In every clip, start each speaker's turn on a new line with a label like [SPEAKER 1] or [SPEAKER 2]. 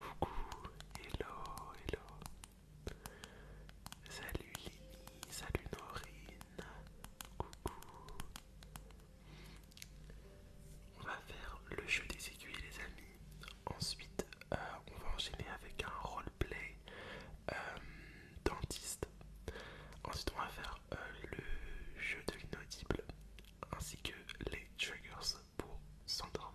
[SPEAKER 1] Coucou, hello, hello. Salut Lini, salut Norine. Coucou. On va faire le jeu des aiguilles les amis. Ensuite, euh, on va enchaîner avec un roleplay euh, dentiste. Ensuite, on va faire euh, le jeu de l'inaudible ainsi que les triggers pour s'endormir.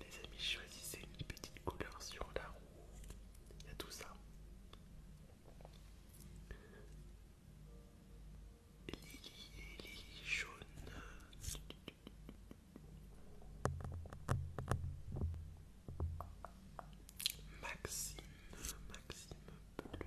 [SPEAKER 1] Les amis, choisissez une petite couleur sur la roue. Il y a tout ça. Lily et Lily jaune. Maxime, Maxime bleu.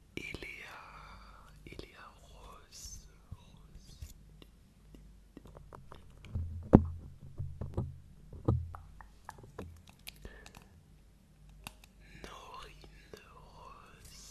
[SPEAKER 1] et Léa, Rose, Rose. Norine Rose,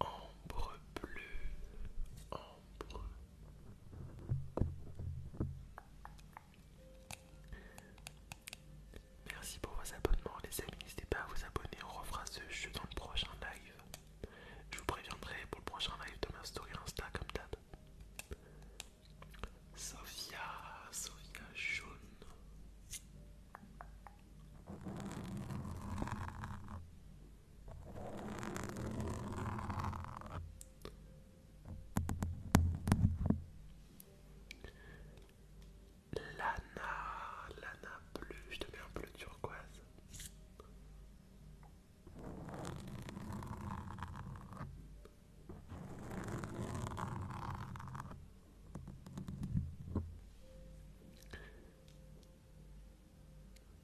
[SPEAKER 1] Ambre bleue, ambre. Merci pour vos abonnements les amis, n'hésitez pas à vous abonner, on refera ce jeu dans le prochain live. Je vous préviendrai pour le prochain live de ma story Insta comme d'hab. Sophia, Sophia jaune. Lana, Lana bleue, je te mets un bleu turquoise.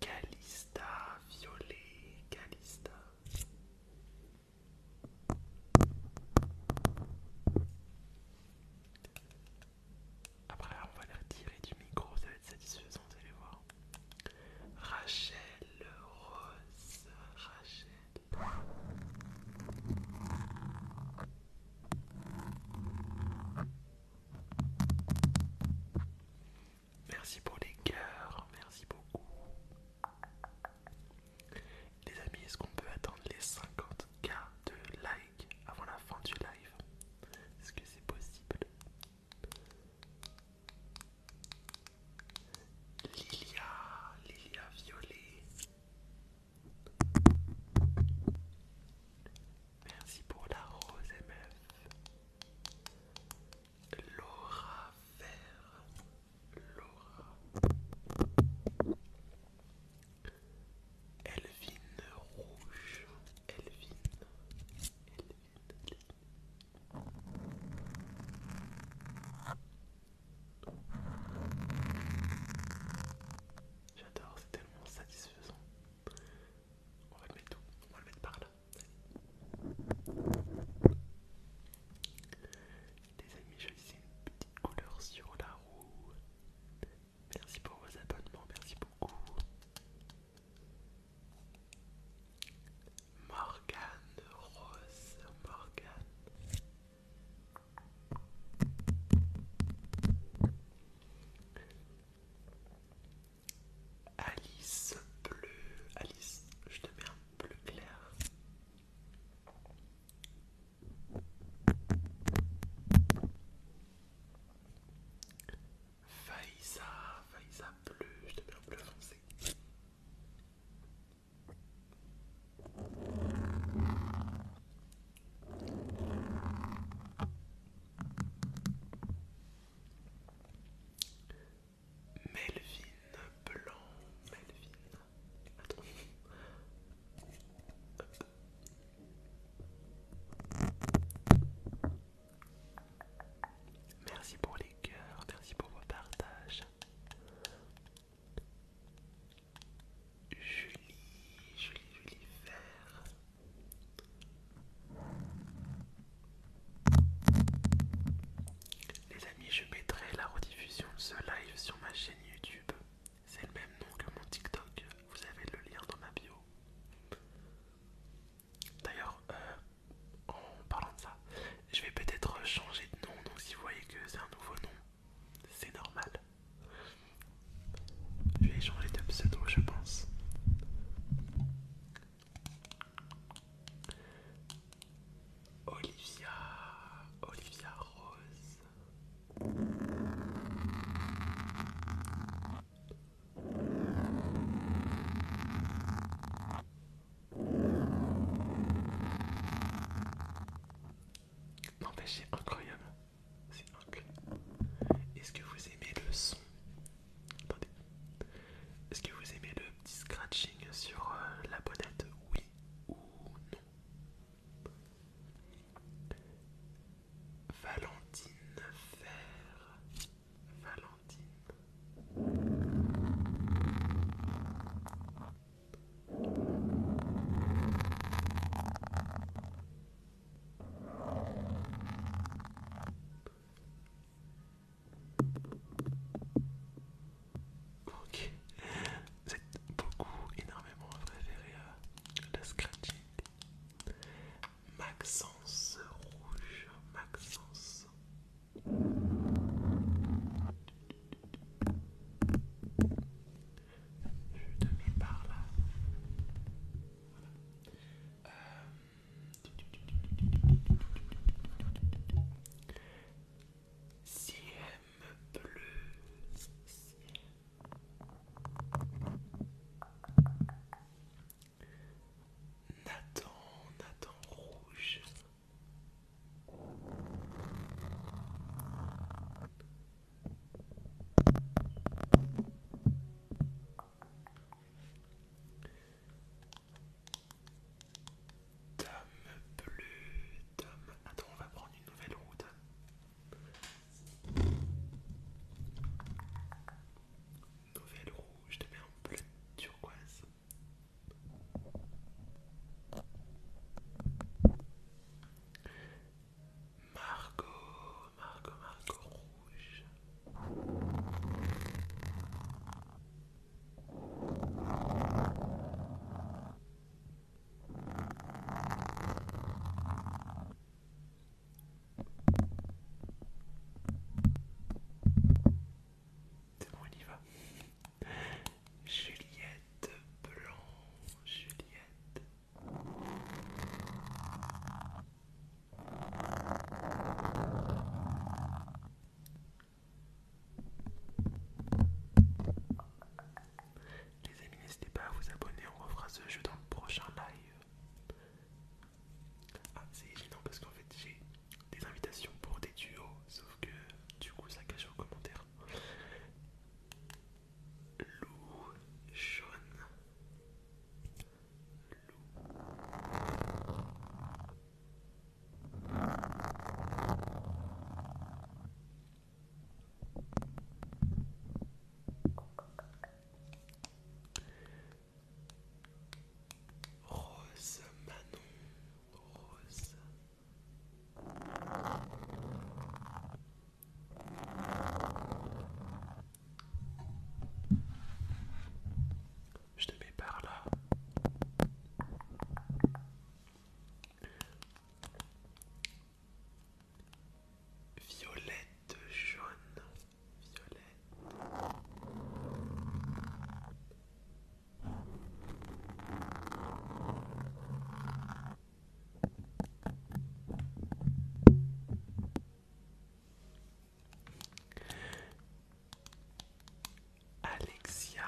[SPEAKER 1] Calista violet, Calista. Après, on va les retirer du micro, ça va être satisfaisant, vous allez voir. Rachel Rose, Rachel. Merci pour les cœurs, merci beaucoup. Les amis, est-ce qu'on peut attendre les 50k de likes avant la fin du live Est-ce que c'est possible Lilia, Lilia Violet. Merci pour la rose MF. Laura Vert. Laura. Elvine Rouge. Elvine. J'adore, c'est tellement satisfaisant. On va le mettre on va mettre par là. Les amis, je essayer une petite couleur sur la roue. Merci pour vos abonnements, merci beaucoup. Morgane Rose, Morgane. Alice bleu, Alice, je te mets un bleu clair. Faïsa, Faïsa bleu, je te mets un bleu foncé. Melvin blanc, Melvin. Merci pour les cœurs, merci pour vos partages. Julie, Julie, Julie Vert. Les amis, je mettrai la rediffusion de ce live sur ma chaîne YouTube. C'est le même nom que mon TikTok. Vous avez le lien dans ma bio. D'ailleurs, euh, en parlant de ça, je vais peut-être changer de nom. Donc, si vous voyez que c'est un nouveau nom, c'est normal. Je vais changer de pseudo, je pense. Olivia, Olivia Rose. Non c'est incroyable. C'est incroyable. Est-ce que vous aimez le son Attendez. Est-ce que vous aimez le petit scratching sur euh, la bonnette Oui ou non Valentine Fer. Valentine. Ok, c'est beaucoup, énormément préféré à la scratching. Maxence Rouge, Maxence je te mets par là. Nathan, Nathan Rouge. Dame bleu, Tom... Attends, on va prendre une nouvelle route. Nouvelle rouge, je te mets en bleu turquoise. Marco, Margot, Marco Rouge. C'est bon, on y va. Juliette Blanc, Juliette. Les amis, n'hésitez pas à vous abonner, on refera ce jeu dans le prochain live. Ah, c'est gênant parce qu'en fait, j'ai des invitations pour des duos, sauf que du coup ça cache en commentaire. Lou Lou Rose Manon rose. Je te mets par là. Violette jaune, violette, Alexia,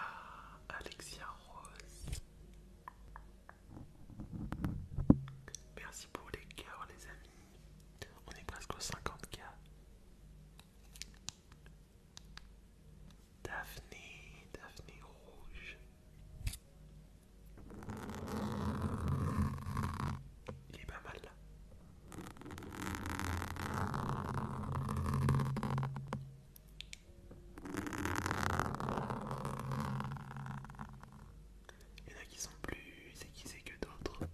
[SPEAKER 1] Alexia Rose. Merci pour les cœurs les amis. On est presque aux 50 cas. Daphné, Daphné rouge. Il est pas mal là. Il y en a qui sont plus aiguisés que d'autres.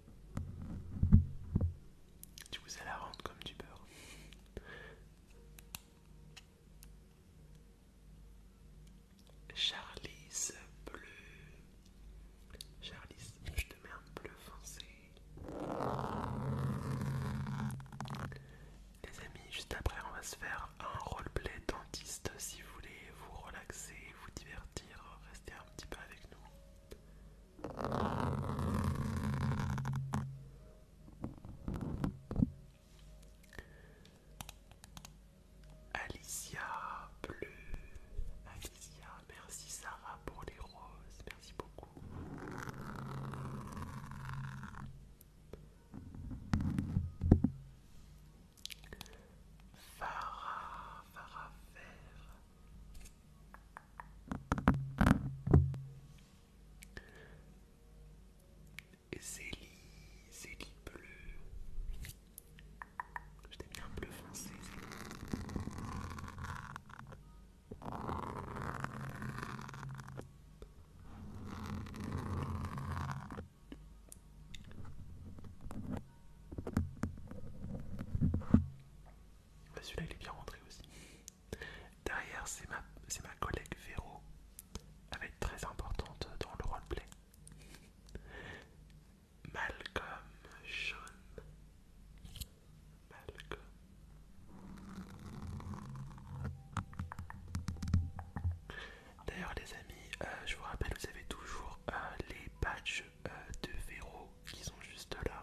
[SPEAKER 1] Tu vous as la rente comme du beurre. Charlize bleu. Charlize, je te mets un bleu foncé. Les amis, juste après, on va se faire un roleplay dentiste si vous voulez vous relaxer, vous divertir, rester un petit peu avec nous. Alicia Bleu, Alicia, merci Sarah pour les roses, merci beaucoup. Farah, Farah
[SPEAKER 2] Vert. Zélie, Zélie bleu. Je t'ai mis un bleu foncé, bah,
[SPEAKER 1] Celui-là il est bien rentré aussi. Derrière, c'est ma, collègue Véro. Elle va être très importante dans le roleplay. Malcolm Sean. Malcolm. D'ailleurs les amis, euh, je vous rappelle, vous avez toujours euh, les badges euh, de Véro qui sont juste là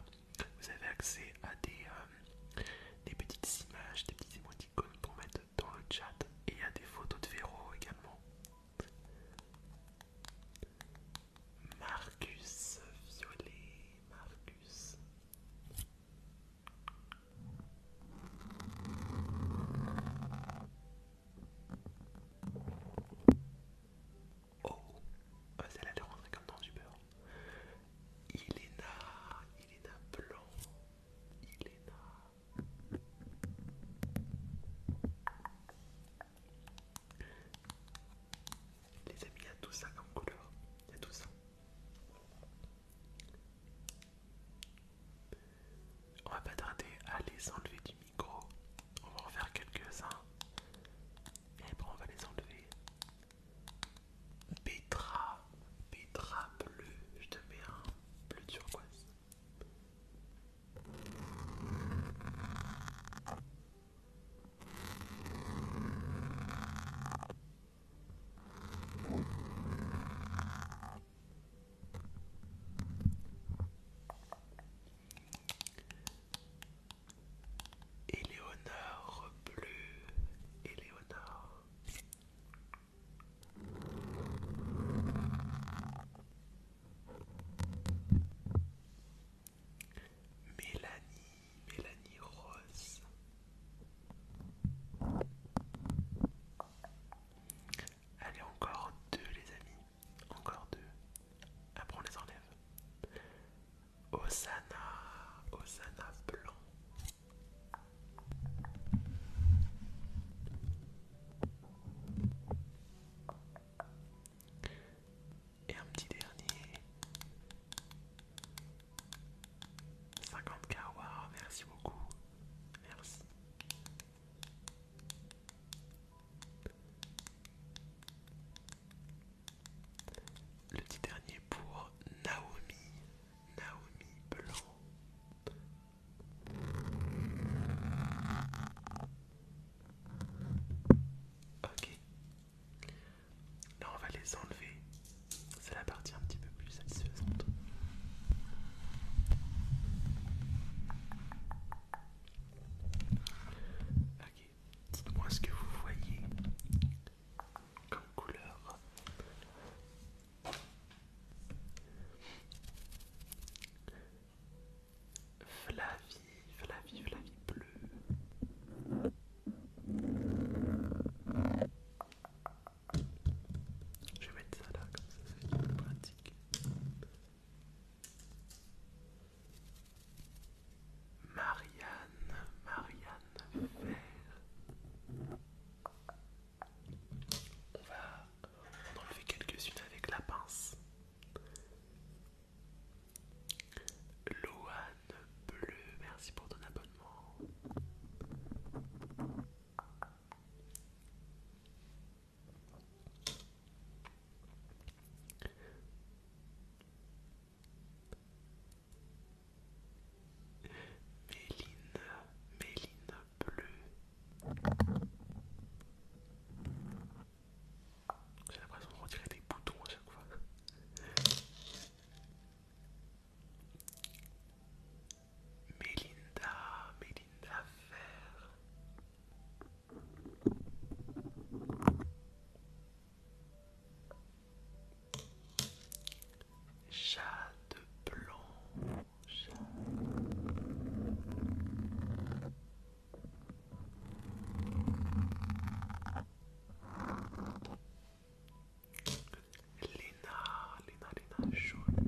[SPEAKER 1] vous avez accès à euh, des, petites images, des petites émoticônes pour mettre dans le chat et à des photos de Véro également. Marcus Violet, Marcus. Oh, celle-là est rentrée comme dans du Elena, Elena Blanc, là Les amis, il y a tout ça comme couleur, il y a tout ça. On va pas tarder à les enlever du micro. On va en faire quelques-uns. Et bon, on va les enlever. Petra. Petra bleu, je te mets un bleu turquoise. Éléonore bleue, Éléonore. Mélanie, Mélanie Rose. Allez, encore deux les amis, encore deux. Après on les enlève. Osana, Osana blanc. Et un petit dernier. 50k, merci beaucoup. Merci. Le petit dernier pour Naomi. Naomi Blanc. Ok. Là on va les enlever. C'est la partie un petit peu plus satisfaisante. Ok. Dites-moi ce que vous voyez comme couleur. Flavie, Flavie, Flavie bleue. Je vais mettre ça là, comme ça c'est pratique. Marianne, Marianne On va enlever quelques-unes avec la pince. Loane Bleu, merci pour ton abonnement. Méline, méline bleue. J'ai l'impression de retirer des boutons à chaque fois. Mélinda, Mélinda Vert. Jade blanche. Lina, Lina, Lina, jaune.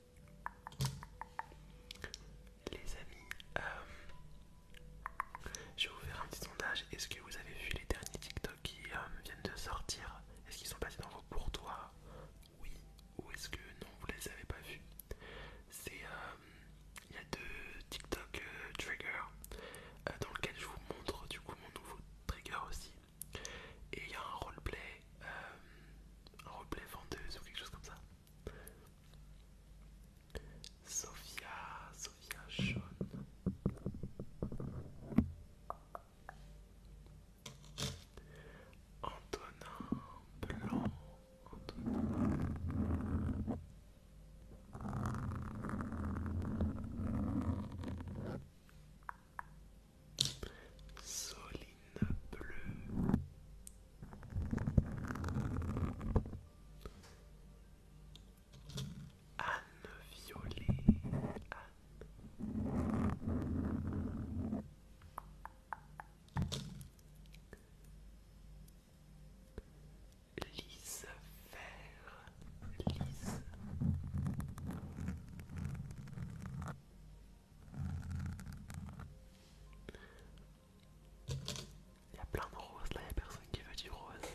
[SPEAKER 1] Les amis, euh, je vais vous faire un petit sondage. Est-ce que vous avez vu les derniers TikTok qui euh, viennent de sortir Est-ce qu'ils sont passés dans vos courtois Oui ou est-ce que non, vous les avez pas vus euh, il y a deux TikTok trigger dans lequel je vous montre du coup mon nouveau trigger aussi. Et il y a un un roleplay vendeuse ou quelque chose comme ça. Sophia, Sophia Sean. Antonin Blanc, Antonin. Marine bleue. Anne violet. Lise vert, lise. Il y a plein de roses là, il n'y a personne qui veut du rose.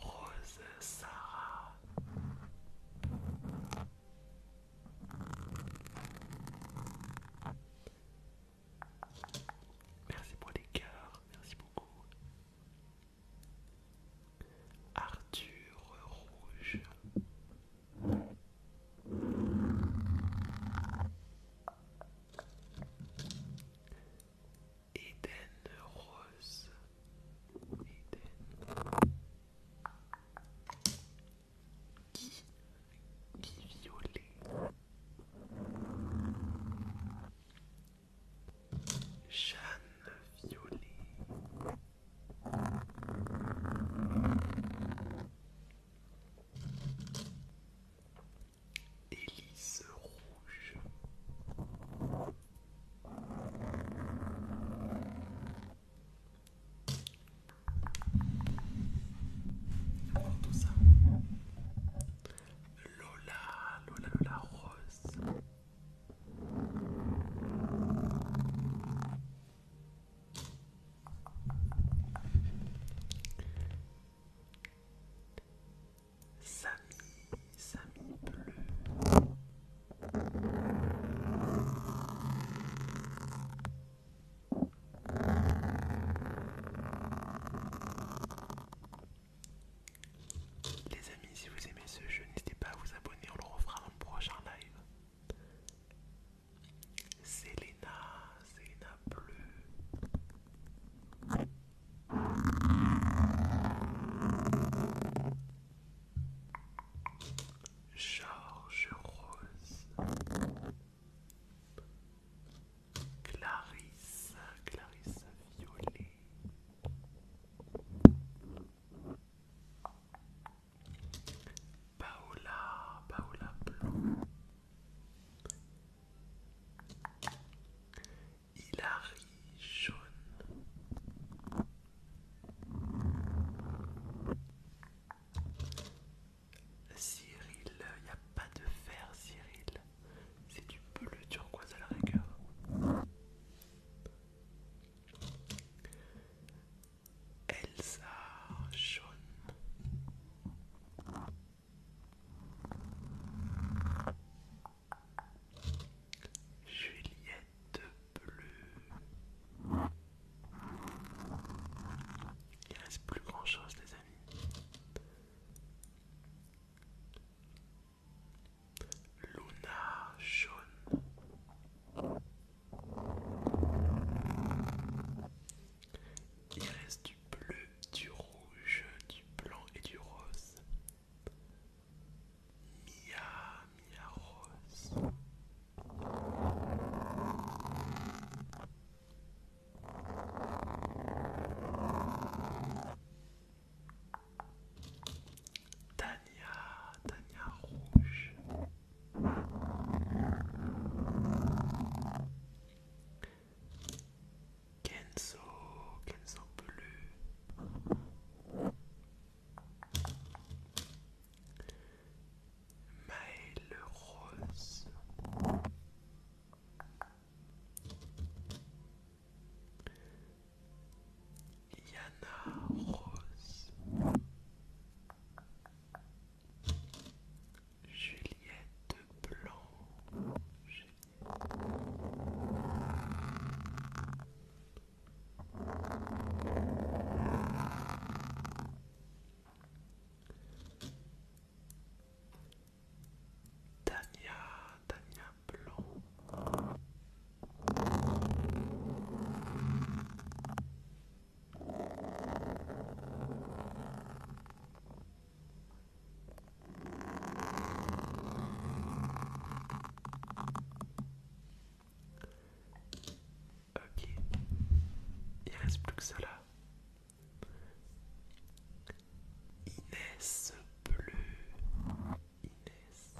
[SPEAKER 1] Rose Sarah. Merci pour les cœurs, merci beaucoup. Arthur Rouge. Eden Rose. Eden. Qui, qui violet. Jeanne Violet. Élise rouge. Lola, Lola, Lola Rose. Samy, Samy bleu. Les amis, si vous aimez ce jeu, n'hésitez pas à vous abonner, on le refera dans le prochain live. Selena, Selena bleue. Georges Rose. Clarisse, Clarisse Violet. Paola, Paola Blanc Hilary jaune. Cyril, il n'y a pas de fer Cyril, c'est du bleu turquoise à la rigueur. Elsa Jaune. Juliette Bleue. Il reste plus grand chose les amis. Luna Jaune. Il reste du bleu, du rouge, du blanc et du rose. Mia, Mia Rose. Tania, Tania Rouge. Kenzo, Kenzo bleu. Maëlle Rose. Yana Rose. Juliette Blanc Dania, Tania Blanc. Ok, il reste plus que cela. Inès bleue, Inès.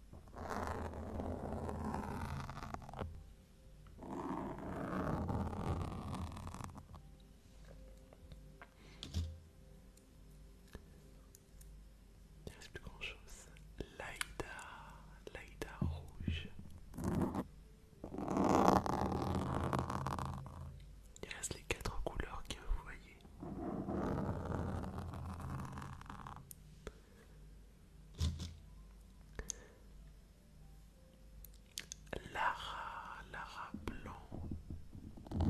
[SPEAKER 1] Il reste plus grand chose. Laïda, Laïda rouge. Il reste les quatre couleurs que vous voyez. Lara, Lara Blanc. Il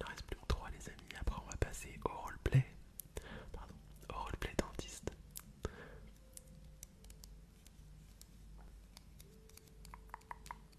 [SPEAKER 1] ne reste plus que trois les amis, après on va passer au roleplay. Pardon, au roleplay dentiste.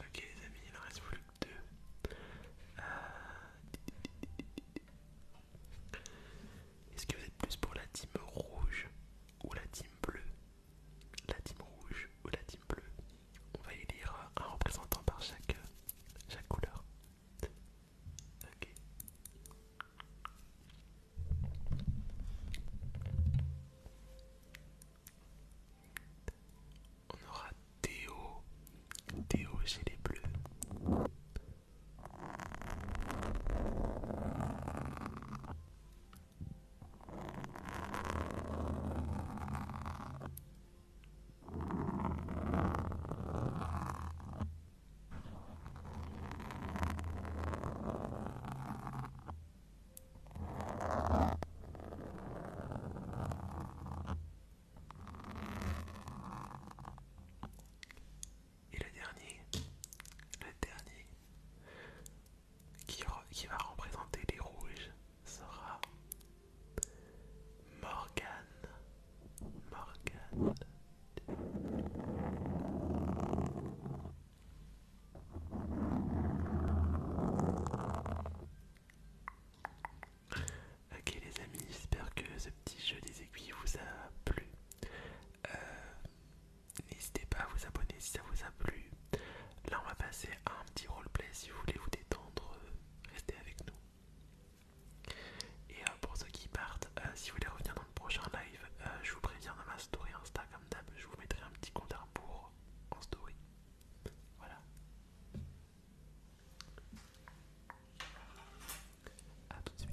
[SPEAKER 1] Ok les amis, il en reste plus que deux. Euh, est-ce que vous êtes plus pour la team rouge ou la team bleue La team rouge ou la team bleue On va élire un représentant par chaque, chaque couleur. On aura Théo. Théo chez les bleus. Et le dernier, le dernier qui, va représenter les rouges sera Morgane. Morgane. Ok les amis, j'espère que ce petit jeu des aiguilles vous a plu. Euh, n'hésitez pas à vous abonner si ça vous a plu. Là on va passer à un petit roleplay si vous voulez vous détendre, euh, restez avec nous. Et euh, pour ceux qui partent, si vous voulez revenir dans le prochain live, je vous préviens dans ma story Instagram. comme je vous mettrai un petit compte à rebours en story. Voilà. À tout de suite.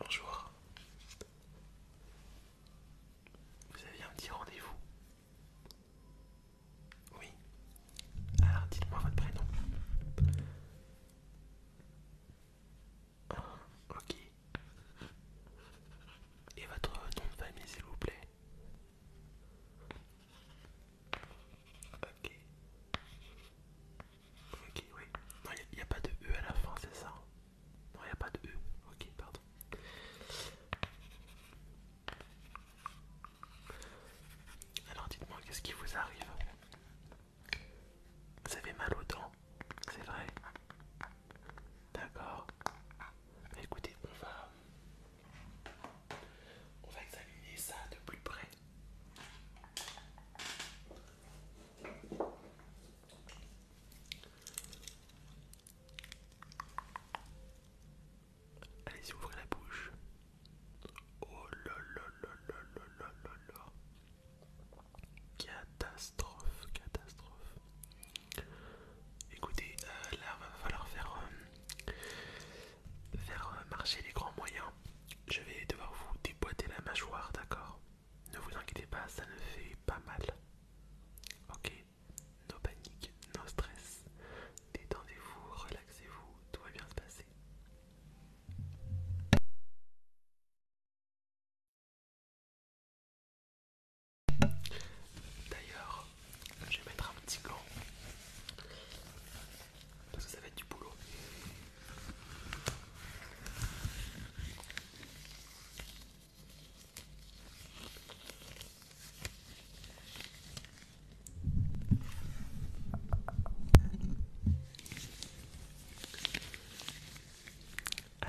[SPEAKER 1] Bonjour, vous avez un petit rendez-vous Oui. Alors dites-moi votre prénom. Oh, ok. Et votre nom de famille s'il vous plaît. Ok. Ok, oui. Non, il n'y a, pas de E à la fin, c'est ça hein. Non, il n'y a pas de E. Ok, pardon. Alors dites-moi, qu'est-ce qui vous arrive Vous avez mal aux dents C'est vrai D'accord. Bah, écoutez, on va... On va examiner ça de plus près. Allez-y, ouvrez la bouche. Oh là là là là là là là Catastrophe, catastrophe. Écoutez, euh, là va falloir faire, euh, euh, marcher les grands moyens. Je vais devoir vous déboîter la mâchoire, d'accord ne vous inquiétez pas, ça ne fait pas mal. Ok, no panique, no stress. Détendez-vous, relaxez-vous, tout va bien se passer. D'ailleurs, je vais mettre un petit gant. Parce que ça va être du boulot.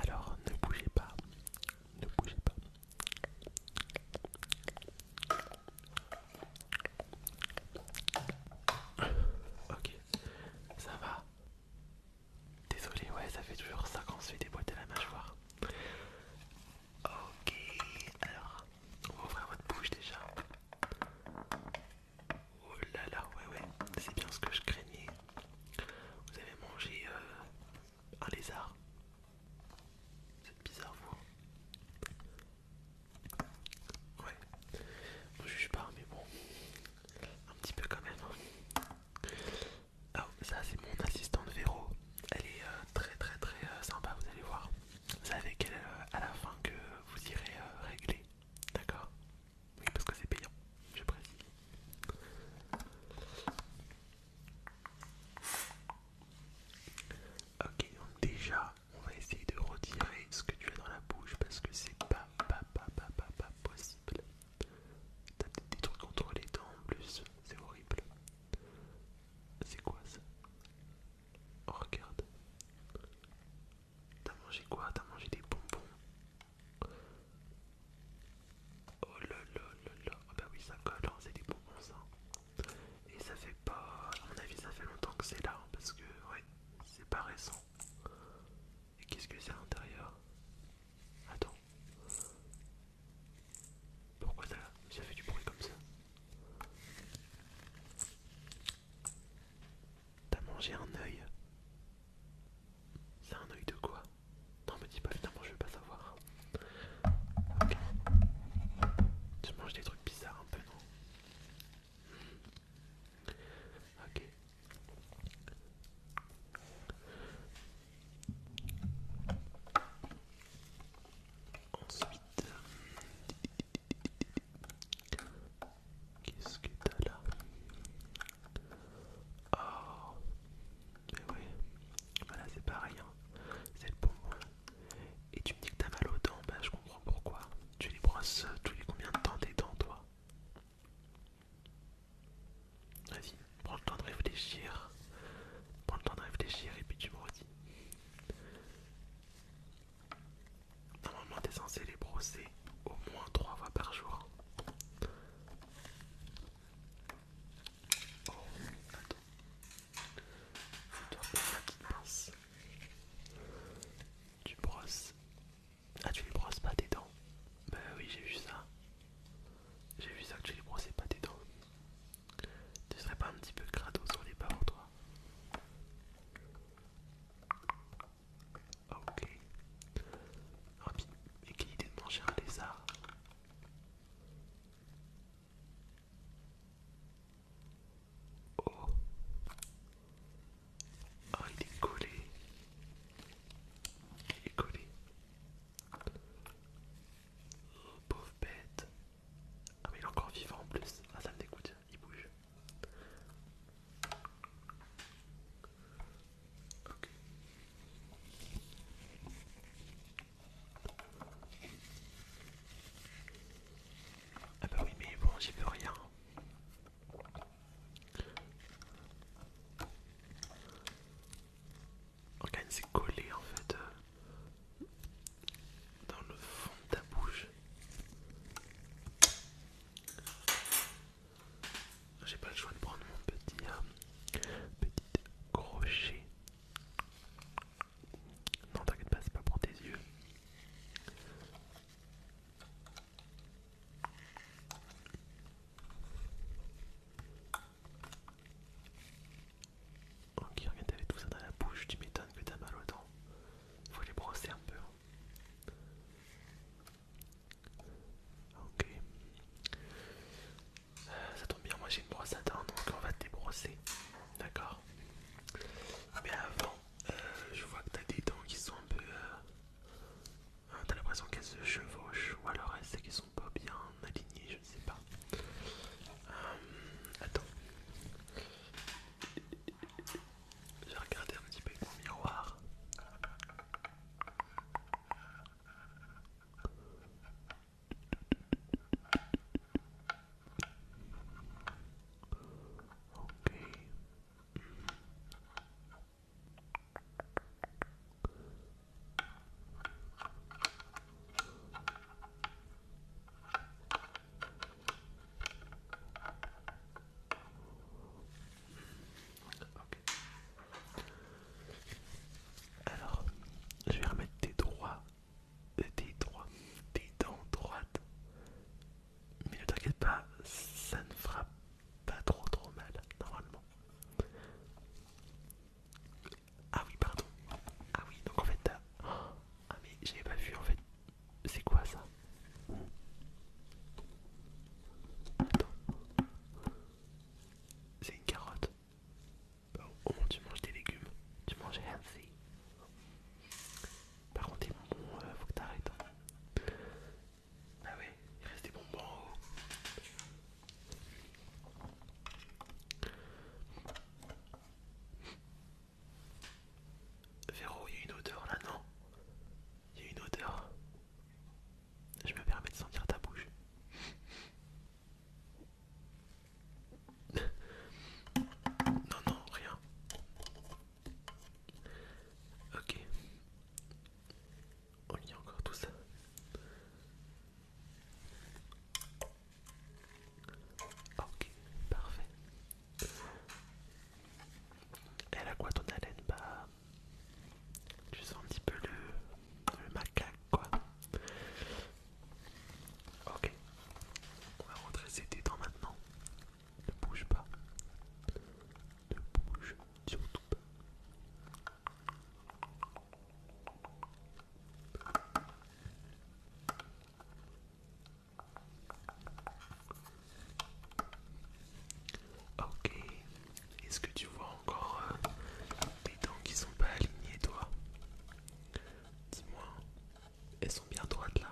[SPEAKER 1] Alors, ne bougez pas, ne bougez pas. Ok, ça va. Désolé, ouais, ça fait toujours ça quand on se fait déboîter la mâchoire. Ok, alors, on va ouvrir votre bouche déjà. Oh là là, ouais, ouais, c'est bien ce que je craignais. Vous avez mangé euh, un lézard. C'est bizarre, vous. Ouais, on juge pas, mais bon, un petit peu quand même. Hein. Ah, ça c'est mon assistante Véro. Elle est euh, très très très euh, sympa, vous allez voir. Vous savez qu'elle euh, à la fin que vous irez régler. D'accord Oui, parce que c'est payant, je précise. Ok, donc déjà, on va essayer de retirer ce que tu as dans la bouche parce que c'est pas, pas, pas, pas, pas possible. T'as des trucs contre les dents en plus, c'est horrible. C'est quoi ça oh, Regarde. T'as mangé quoi T'as mangé des bonbons Oh là là là là Ah bah oui ça colle, hein, c'est des bonbons ça. Et ça fait pas... à mon avis ça fait longtemps que c'est là, hein, parce que ouais, c'est pas récent. Et qu'est-ce que c'est à l'intérieur Attends. Pourquoi ça, fait du bruit comme ça T'as mangé un œil C'est un œil de quoi Non me dis pas finalement je veux pas savoir. Tu manges des trucs bizarres un peu non Ok, Ensuite, qu'est-ce que t'as là Oh, mais oui, voilà c'est pareil, rien. Hein. c'est le Et tu me dis que t'as mal aux dents, ben je comprends pourquoi. Tu les brosses euh, tous les combien de temps tes dents, toi Vas-y, prends le temps de réfléchir. Prends le temps de réfléchir et puis tu me redis. Normalement, t'es censé les brosser au moins trois fois par jour. Oh, attends. Tu la petite pince. Tu brosses ah, tu les brosses pas tes dents Bah oui, j'ai vu ça. J'ai vu ça que tu les brossais pas tes dents. Tu serais pas un petit peu crado sur les en toi Ok. Ah, mais quelle idée de manger un lézard Oh Oh il est collé. Il est collé. Oh, pauvre bête. Ah, mais il est encore vivant en plus. Ah, ça me dégoûte, il bouge. Ok. Ah bah oui mais bon j'y peux rien c'est collé en fait euh, dans le fond de ta bouche. J'ai pas le choix de prendre mon petit euh, crochet. Non, t'inquiète pas, c'est pas pour tes yeux. Ok, regarde, t'avais tout ça dans la bouche, tu m'étonnes que t'as mal aux dents. Faut les brosser un peu. Hein. Ok. Euh, ça tombe bien, moi j'ai une brosse à dents, donc on va te débrosser. D'accord Mais avant, euh, je vois que t'as des dents qui sont un peu... Euh, Hein, t'as l'impression qu'elles se chevauchent, ou alors c'est qu'elles sont pas bien alignées, je ne sais pas. Euh, attends, je vais regarder un petit peu mon miroir. Ok. Alors, je vais remettre tes droits, des tes droits, tes dents droites. Mais ne t'inquiète pas, ça ne frappe pas trop trop mal normalement. Ah oui pardon. Ah oui donc en fait Ah mais j'avais pas vu en fait. C'est quoi ça C'est une carotte. Bah, au tu manges des légumes. Tu manges healthy. Par contre, il euh, faut que t'arrêtes. Hein. Ah oui, il reste des bonbons en haut. Véro, il y a une odeur là, non Il y a une odeur. Je me permets de sentir ta bouche. non, non, rien. Ok. On oh, lit encore tout ça. Ok, parfait. Elle a quoi ton haleine Bah. Tu sens un petit peu le, le macaque quoi. Ok. On va redresser tes dents maintenant. Ne bouge pas. Ne bouge surtout pas. Ok, est-ce que tu vois encore des euh, dents qui sont pas alignées toi Dis-moi, elles sont bien droites là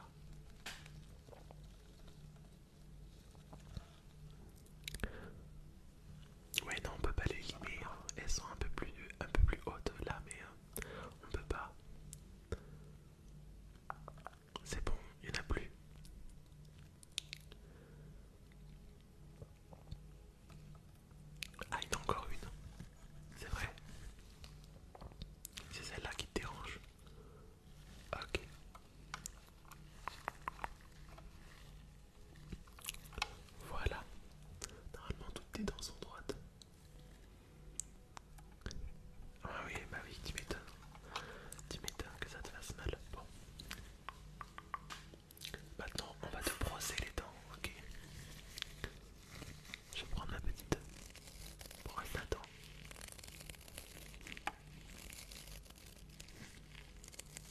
[SPEAKER 1] Ouais non on peut pas les limer, hein. elles sont un peu plus un peu plus hautes là mais hein, on peut pas. C'est bon, il n'y en a plus. Ah il y en a encore une, c'est vrai. C'est celle-là qui te dérange. Ok. Voilà, normalement toutes tes dents sont droites. Ah oui, bah oui, tu m'étonnes. Tu m'étonnes que ça te fasse mal. Bon. Maintenant, on va te brosser les dents, ok Je vais prendre ma petite brosse à dents.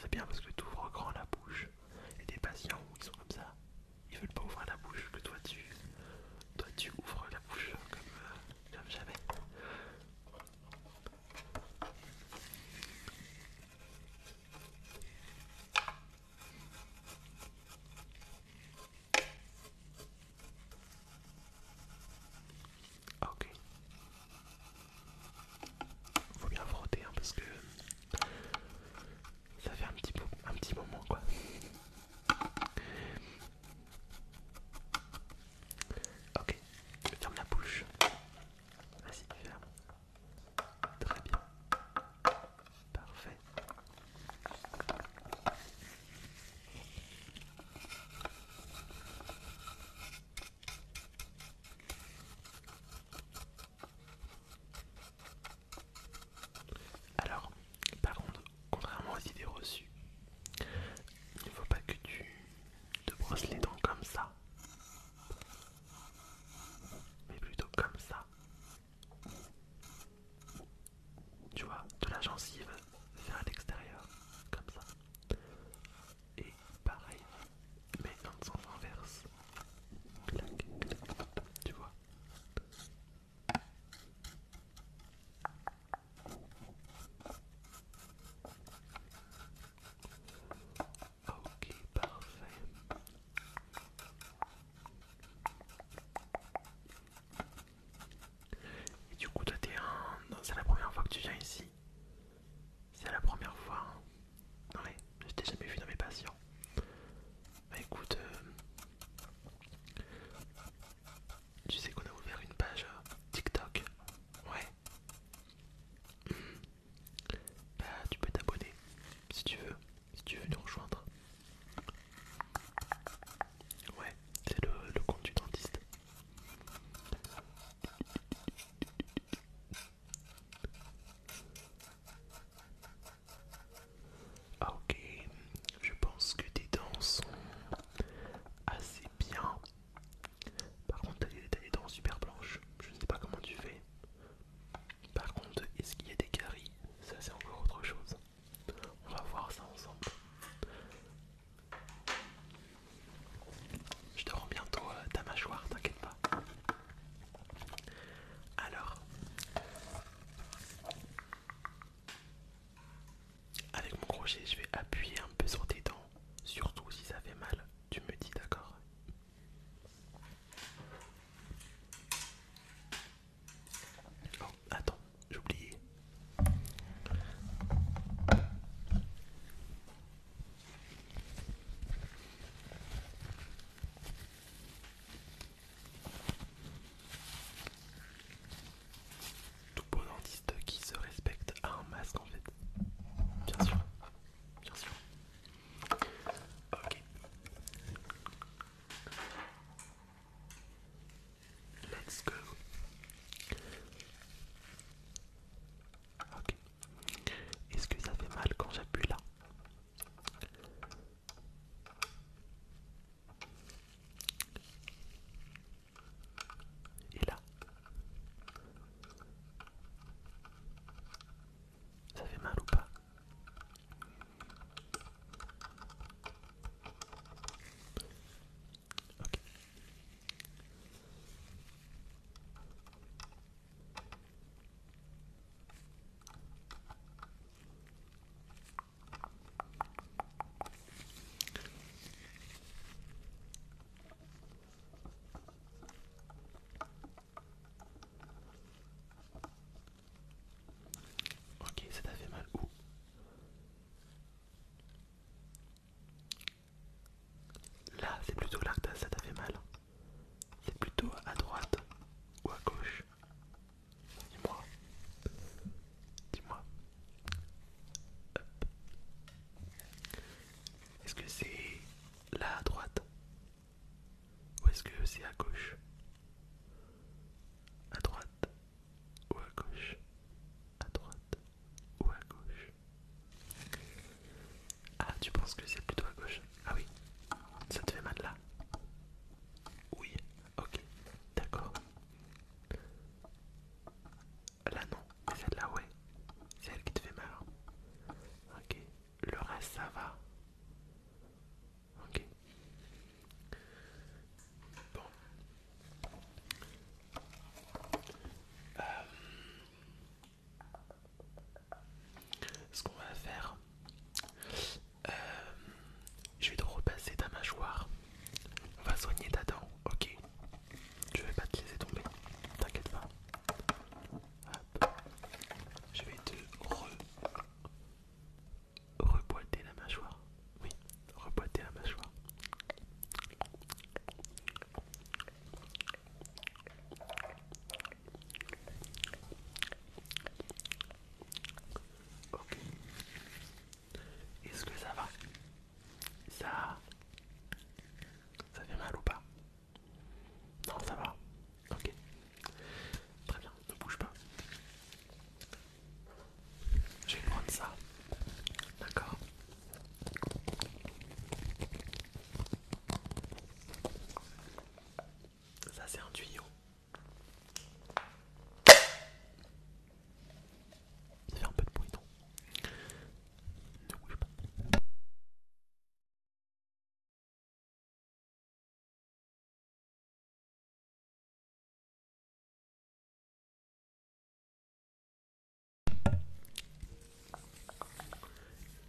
[SPEAKER 1] C'est bien parce que tu ouvres grand la bouche. Et des patients où ils sont comme ça, ils veulent pas ouvrir la bouche, que toi tu, toi, tu ouvres la bouche comme euh, jamais. Ok. Faut bien frotter hein, parce que ça fait un petit, peu, un petit moment quoi. Ok, ferme la bouche. Vas-y, ferme. Très bien. Parfait. Alors, par contre, contrairement aux idées reçues, il ne faut pas que tu te brosses les dents comme ça, mais plutôt comme ça tu vois, de la gencive vers l'extérieur, comme ça. Et pareil, mais dans son inverse. tu vois. Ok, parfait. Et du coup, toi, t'es un. C'est la première fois que tu viens ici. C'est la première fois. Hein. non Ouais, je t'ai jamais vu dans mes patients. Bah écoute, euh, tu sais qu'on a ouvert une page euh, TikTok. Ouais. Bah, tu peux t'abonner si tu veux si tu veux nous rejoindre. Ouais, c'est
[SPEAKER 2] le, compte du dentiste. Ah, ok, je pense
[SPEAKER 1] que tes dents sont assez bien. Par contre, t'as des dents super blanches. Je ne sais pas comment tu fais. Par contre, est-ce qu'il y a des caries Ça, c'est encore autre chose. On va voir ça ensemble. Je te rends bientôt ta mâchoire, t'inquiète pas. Alors, avec mon crochet, je vais appuyer un peu sur tes dents, surtout si ça fait mal. Tu me dis d'accord Oh, attends, j'ai oublié.
[SPEAKER 2] Tout bon dentiste qui se respecte a un masque en fait. Bien sûr. Bien sûr. Ok. Let's Ok. Est-ce que ça fait mal quand j'appuie là Et là ça fait mal ou pas
[SPEAKER 1] Ok, ça t'a fait mal où Là, c'est plutôt là que ça t'a fait mal. C'est plutôt à droite ou à gauche Dis-moi. Dis-moi. Est-ce que c'est là à droite ou est-ce que c'est à gauche À droite Ou à gauche À droite Ou à gauche Ah, tu penses que c'est plutôt à gauche Ah oui, ça te fait mal là Oui, ok, d'accord. Là non, mais celle-là ouais. C'est elle qui te fait mal. Hein. Ok, le reste ça va. Ok. Bon. Euh, ce qu'on va faire, euh, je vais te repasser ta mâchoire. On va soigner ta dent, ok. Je vais pas te laisser tomber, t'inquiète pas. Hop. Je vais te re Reboîter la mâchoire. Oui, reboîter la mâchoire. Ok. Est-ce que ça va Ça... Ça fait mal ou pas Non, ça va. Ok. Très bien, ne bouge pas.
[SPEAKER 2] Je vais prendre ça. D'accord. Ça c'est un tuyau. Il fait un peu de bruit, non Ne bouge pas.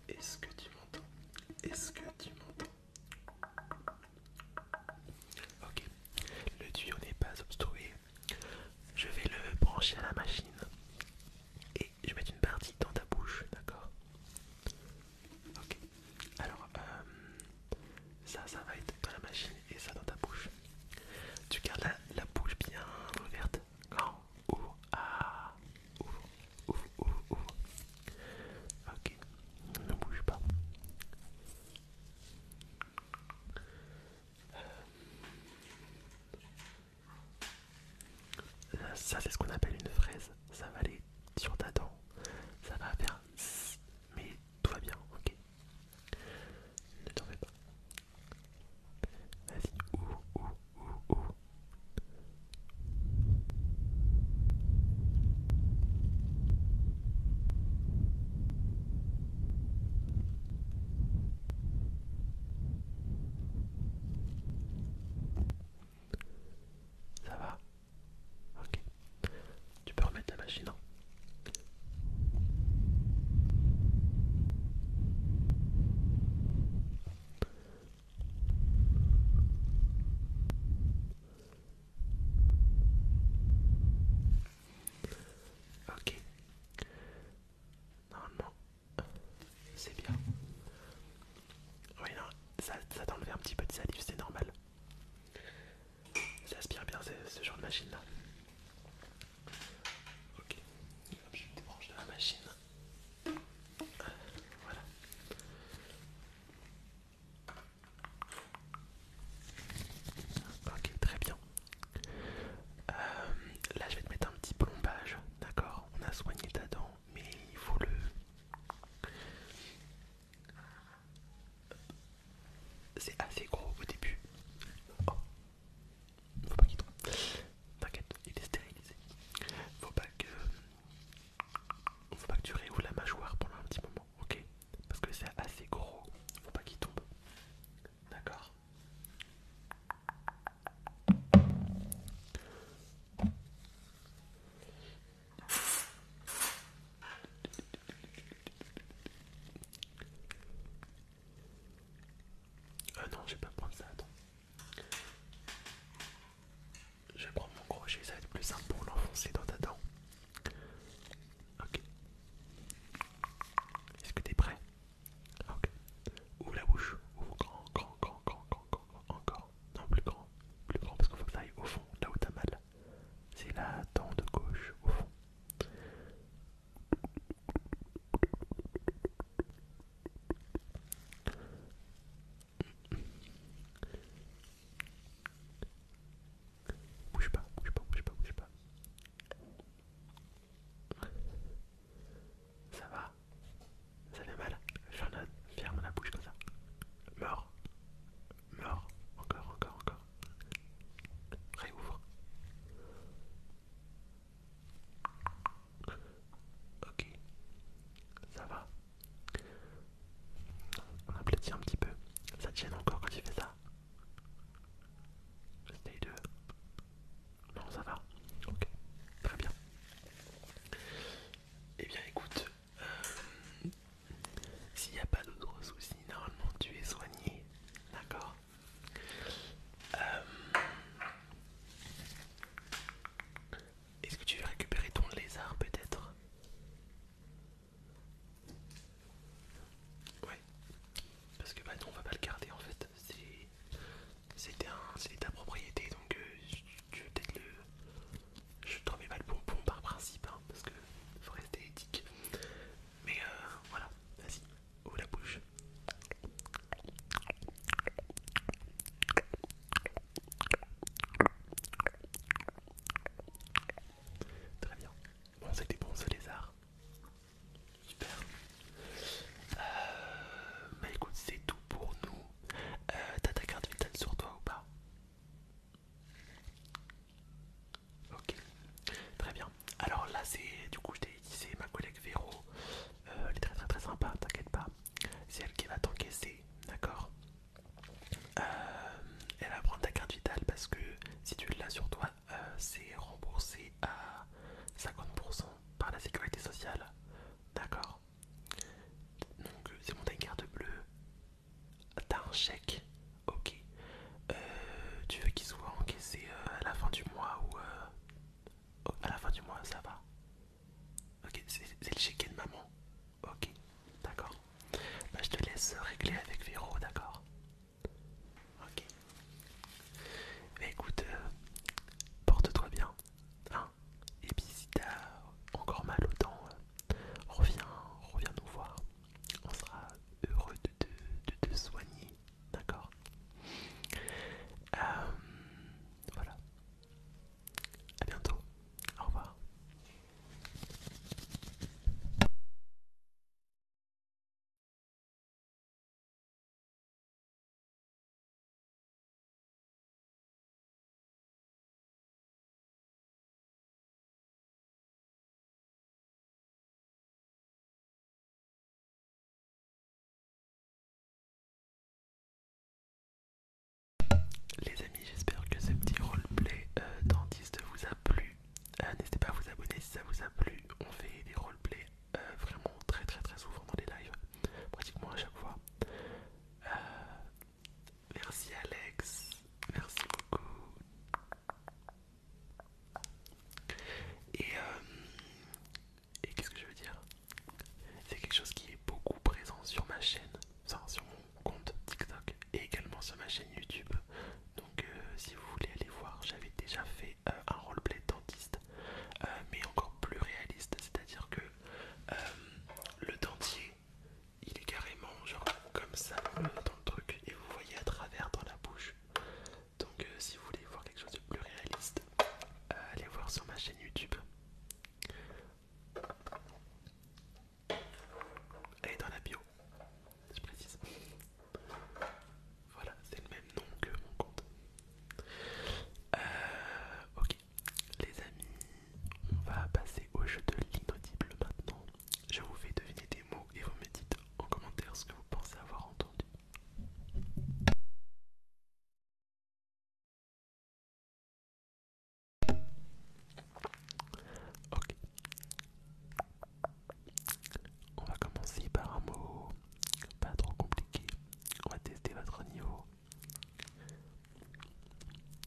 [SPEAKER 2] Est-ce que tu m'entends Est-ce que tu
[SPEAKER 1] m'entends Ok, le tuyau n'est pas obstrué. Je vais le brancher à la machine et je vais mettre une partie dans ta bouche, d'accord Ok. Alors, euh, ça, ça va être dans la machine et ça dans ta bouche. Tu gardes la, bouche bien ouverte. Grand, ah. ouvre, ouvre, ouvre, ouvre, Ok, ne bouge pas. Euh, ça, c'est ce qu'on appelle une fraise. Ça va aller sur ta dent. Ça va faire mais tout va bien, ok. Ne t'en fais pas. Vas-y, ouh, ouh, ouh, ouh. Ça va Ok. Tu peux remettre la machine. Hein. ok. Normalement, c'est bien. Oui, non, ça, ça t'enlevait un petit peu de salive, c'est normal. Ça aspire bien ce, genre de machine là. Ok, je débranche de la machine. Voilà. Ok, très bien. Euh, là, je vais te mettre un petit plombage, d'accord On a soigné ta dent, mais il faut le... C'est assez gros au début. Oh. Faut pas qu'il tombe. T'inquiète, il est stérilisé. Faut pas que. Faut pas que tu réouvres la mâchoire pendant un petit moment, ok Parce que c'est assez gros. Faut pas qu'il tombe. D'accord euh, non, je vais pas prendre ça, attends. Je vais prendre mon crochet, ça va être plus simple pour l'enfoncer dans ta dent. Ok. Est-ce que t'es prêt Ok. Ouvre la bouche. Ouvre grand, grand, grand, grand, grand, grand, encore. Non, plus grand. Plus grand parce qu'il faut que ça aille au fond, là où t'as mal. C'est la dent de gauche au fond.
[SPEAKER 2] Bouge pas, bouge pas, bouge pas, bouge pas. Ça va Ça fait mal J'en ferme la bouche comme ça.
[SPEAKER 1] Mort Meurs. Encore, encore, encore. Réouvre. Ok. Ça va. On aplatit un petit peu. Ça tienne encore quand tu fais ça Stay 2. Non, ça va. Ok. Très bien. Eh bien écoute, s'il n'y a pas d'autres soucis, normalement tu es soigné. D'accord euh, Est-ce que tu veux récupérer ton lézard peut-être Ouais. Parce que bah non, on va pas le garder en fait. C'est ta propriété donc euh, tu veux peut-être le, je tombe pas le bonbon par principe, hein, parce que faut rester éthique. Mais euh, voilà, vas-y, ouvre la bouche. Très bien. Bon, c'était bon ce lézard. Super. Euh, bah écoute, c'est tout pour nous. Euh, t'as ta carte vitale sur toi ou pas Ok, très bien. Alors là, c'est du coup, je t'ai dit, c'est ma collègue Véro. Euh, elle est très très très sympa, t'inquiète pas. C'est elle qui va t'encaisser, d'accord euh, Elle va prendre ta carte vitale parce que si tu l'as sur toi, euh, c'est remboursé à 50% par la sécurité sociale, d'accord Donc, c'est mon t'as une carte bleue, T'as un chèque, ok. Euh, tu veux qu'il soit encaissé euh, à la fin du mois ou euh, à la fin du mois, ça va. Ok, c'est le chèque de maman. Ok, d'accord. Bah, je te laisse régler avec Véro, d'accord. Ok. Bah, écoute, porte-toi bien. Hein. Et puis si t'as encore mal autant reviens, reviens nous voir on sera heureux de te, soigner, d'accord euh, Voilà. À bientôt. Au revoir. Les amis, j'espère que ce petit roleplay euh, dentiste vous a plu. Euh, n'hésitez pas à vous abonner si ça vous a plu. On fait des roleplays euh, vraiment très très très souvent dans les lives, pratiquement à chaque fois. Merci Alex, merci beaucoup. Et, euh, et qu'est-ce que je veux dire C'est quelque chose qui est beaucoup présent sur ma chaîne, enfin sur mon compte TikTok et également sur ma chaîne YouTube. Donc euh, si vous voulez aller voir, j'avais déjà fait euh, un roleplay dentiste, mais encore plus réaliste, c'est-à-dire que le dentier il est carrément genre comme ça euh, dans le truc et vous voyez à travers dans la bouche. Donc euh, si vous voulez voir quelque chose de plus réaliste, euh, allez voir sur ma chaîne YouTube. Elle est dans la bio, je précise. Voilà, c'est le même nom que mon compte. ok, les amis, on va passer au jeu de l'inaudible maintenant. Je vous fais deviner des mots et vous me dites en commentaire ce que vous pensez avoir entendu. Ok. On va commencer par un mot pas trop compliqué. On va tester votre niveau.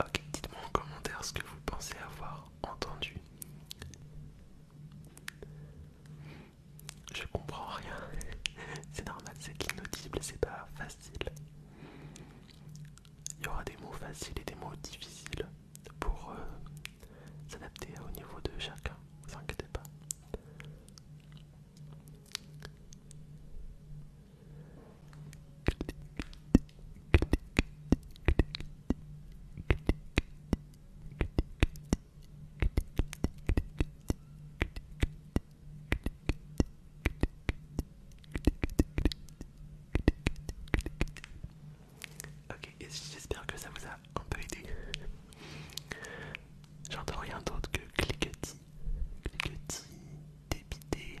[SPEAKER 1] Ok, dites-moi en commentaire ce que vous pensez avoir entendu. Je comprends rien. c'est normal, c'est inaudible, c'est pas facile. Il y aura des mots faciles et des mots difficiles pour euh, s'adapter au niveau de chacun, ne vous inquiétez pas. Ok, j'espère que ça vous a un peu aidé. J'entends rien d'autre que cliquetis, cliquetis, débité,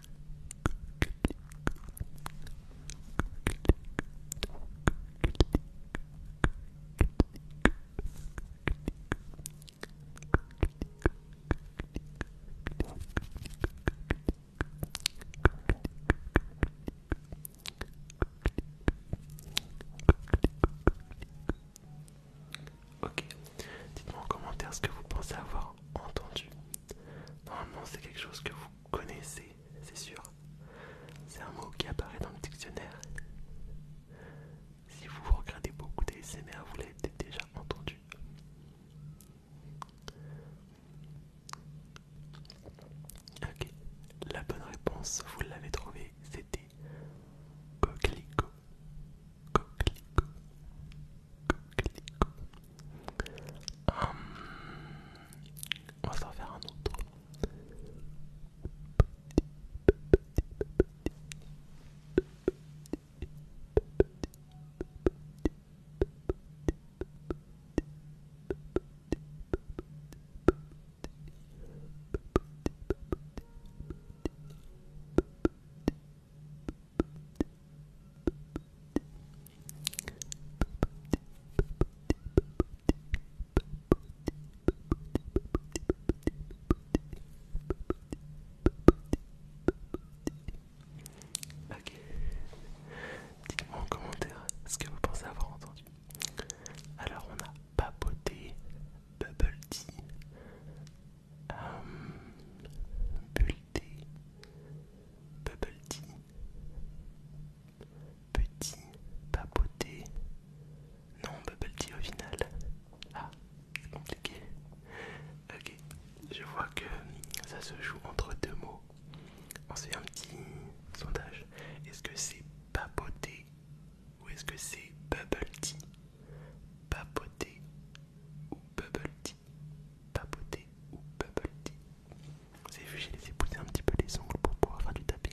[SPEAKER 1] Ok, dites-moi en commentaire ce que vous pensez avoir entendu. Normalement, c'est quelque chose que vous connaissez, c'est sûr. C'est un mot qui apparaît dans le dictionnaire. Si vous regardez beaucoup des d'ASMR, vous l'avez déjà entendu. Ok, la bonne réponse, vous l'avez trouvée, c'était coquelicot. Coquelicot. Coquelicot. Hum, on va faire un autre. Ok, dites-moi en commentaire ce que vous pensez avoir entendu. Alors on a baboté, bubble tea, euh, bubble tea, petit, papoté, non bubble tea au final, ah c'est compliqué, ok, je vois que ça se joue entre deux mots, on fait un petit sondage, est-ce que c'est papoté ou est-ce que c'est bubble tea, papoté ou bubble tea tea, ou bubble tea. Vous avez vu, j'ai laissé pousser un petit peu les ongles pour pouvoir faire du tapping.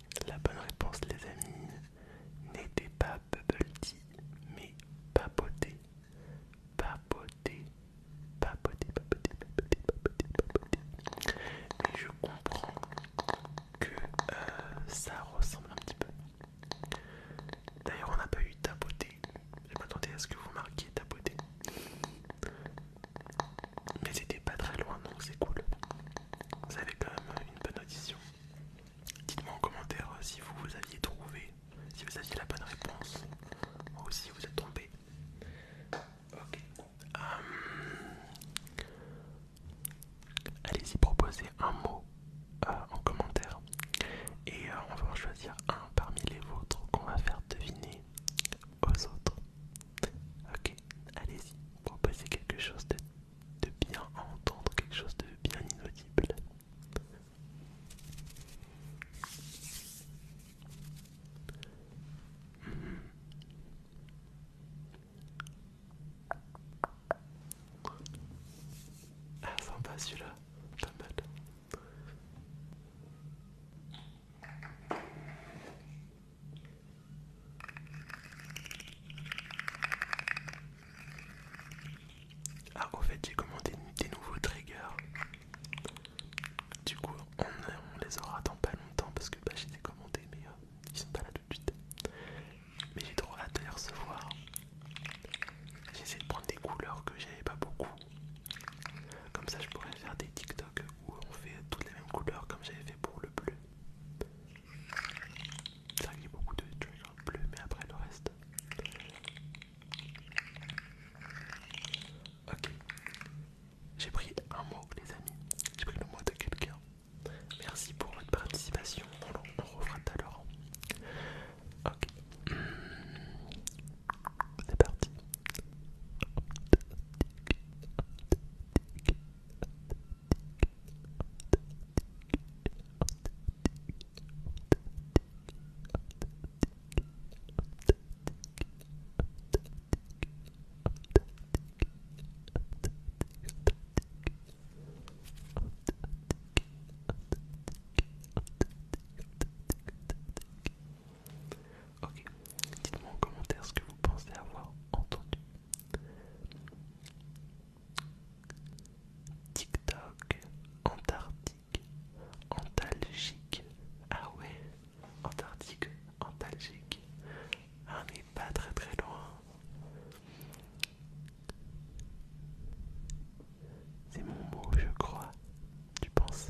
[SPEAKER 1] La bonne réponse, les amis, n'était pas bubble tea, mais Papoté, Papoté, Papoté, Papoté, Papoté, Papoté, Papoté. Mais je comprends que euh, ça ressemble un petit peu. D'ailleurs, on n'a pas eu tapoter. Je m'attendais à ce que vous marquiez tapoter. Mais c'était pas très loin donc c'est cool. Vous avez quand même une bonne audition. Dites-moi en commentaire euh, si vous, vous aviez trouvé, si vous aviez la bonne réponse ou si vous êtes tombé. Ok. Euh, allez-y proposer un mot euh, en commentaire et on va en choisir un parmi les vôtres qu'on va faire deviner aux autres. Ok allez-y, passer quelque chose de, bien à entendre, quelque chose de bien inaudible. Hmm. Ah sympa celui-là, pas mal. Ah au fait j'ai commandé des nouveaux triggers Du coup on, les aura dans pas longtemps parce que bah, des les mais euh, ils sont pas là tout de suite Mais j'ai trop hâte de les recevoir J'ai essayé de prendre des couleurs que j'avais pas beaucoup Comme ça je pourrais faire des TikTok où on fait toutes les mêmes couleurs comme j'avais fait pour le bleu ça a beaucoup de en bleu, mais après le reste. Ok. J'ai pris un mot, les amis. J'ai pris le mot de quelqu'un. Merci pour votre participation. On, le refera tout à l'heure. Ok. Hmm. C'est parti. Ok, dites-moi en commentaire ce que vous pensez avoir entendu Tiktok, Antarctique, Antalgique. Ah ouais, Antarctique, Antalgique. Ah, on est pas très très loin. C'est mon mot, je crois. Tu penses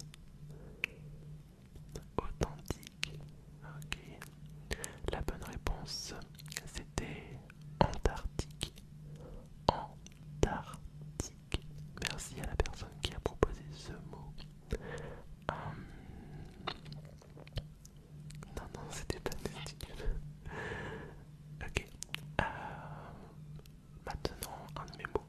[SPEAKER 1] authentique. Ok. La bonne réponse, c'était Antarctique. Antarctique. Merci à la personne qui a proposé ce mot. Hum. Non, non, c'était pas ok. Euh, maintenant, un de mes mots.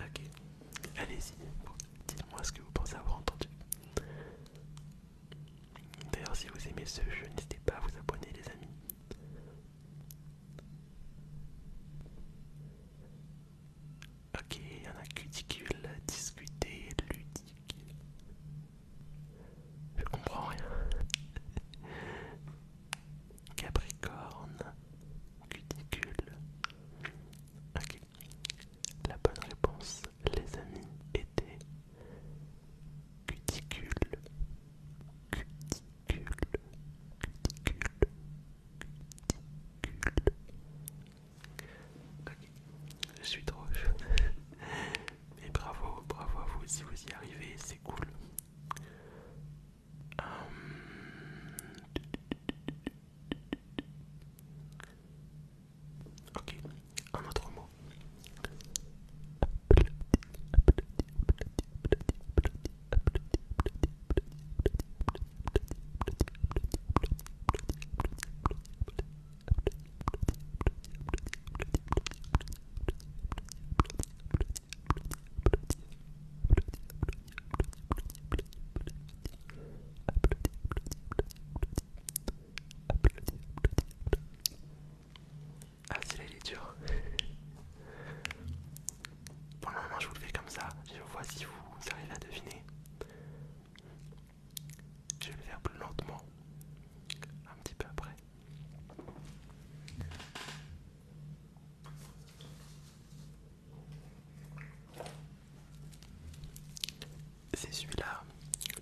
[SPEAKER 1] Ok, allez-y, dites-moi ce que vous pensez avoir entendu. D'ailleurs, si vous aimez ce jeu, n'hésitez pas à vous abonner, les amis. Ok, il y en a cuticule, discuter, ludique. Je comprends rien. Capricorne, cuticule, Ok. La bonne réponse, les amis, était cuticule, cuticule, cuticule, cuticule. Ok, je suis trop Mais bravo, bravo à vous si vous y arrivez, c'est cool. Euh, ok, un autre mot applaudis, applaudis, applaudis, applaudis. Ah, si là il est dur Pour le moment, je vous le fais comme ça. Je vois si vous arrivez à deviner. Je vais le faire plus lentement. Un petit peu après. C'est celui-là,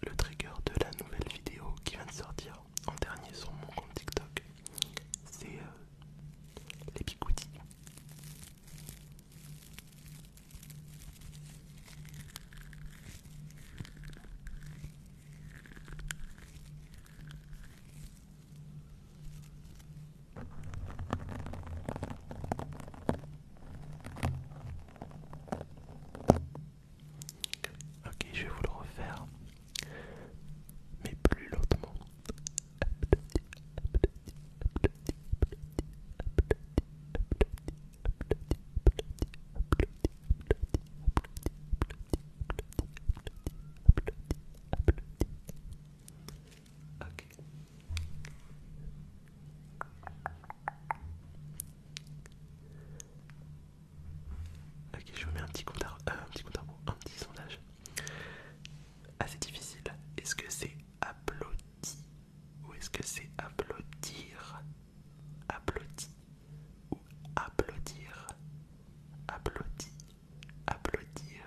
[SPEAKER 1] le trigger de la nouvelle vidéo qui vient de sortir en dernier sur mon compte TikTok. C'est euh, les picoutis. Ok, je vais vous le refaire, mais plus lentement. Ok. Ok, je vous mets un petit compte à euh, un petit compte un petit sondage. Assez difficile. Est-ce que c'est applaudi ou est-ce que c'est applaudir Applaudi ou applaudir Applaudi, applaudir,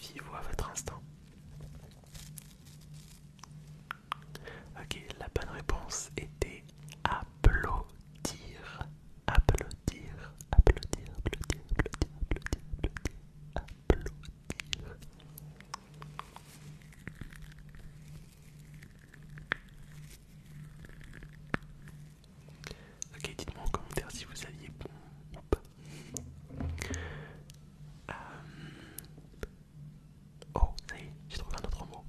[SPEAKER 1] Fiez-vous à votre instant. Ok, la bonne réponse était applaudir. Applaudir, applaudir, applaudir, applaudir, applaudir, applaudir, Ok, dites-moi en commentaire si vous aviez bon Oh, j'ai trouvé un autre mot.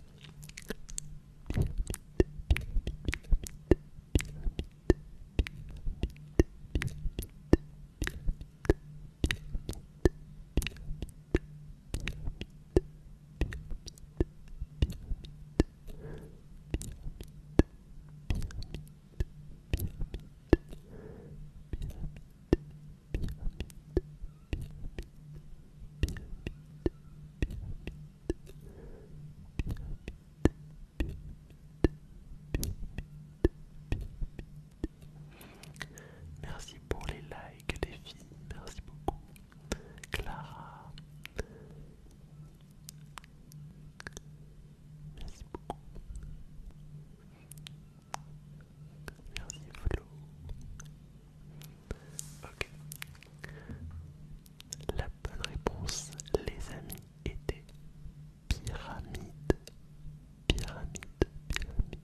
[SPEAKER 1] Merci pour les likes, les filles. Merci beaucoup. Clara. Merci beaucoup. Merci Flo. Ok. La bonne réponse, les amis, était pyramide. Pyramide, pyramide, pyramide.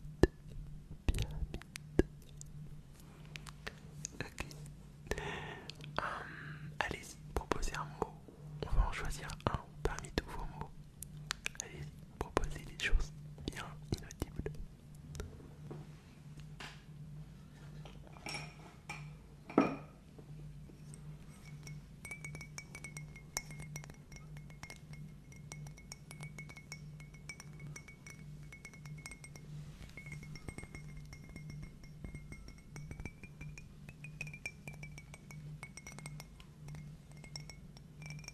[SPEAKER 1] Ok. Hum, allez-y, proposez un mot. On va en choisir un parmi tous vos mots allez-y, proposez des choses bien inaudibles.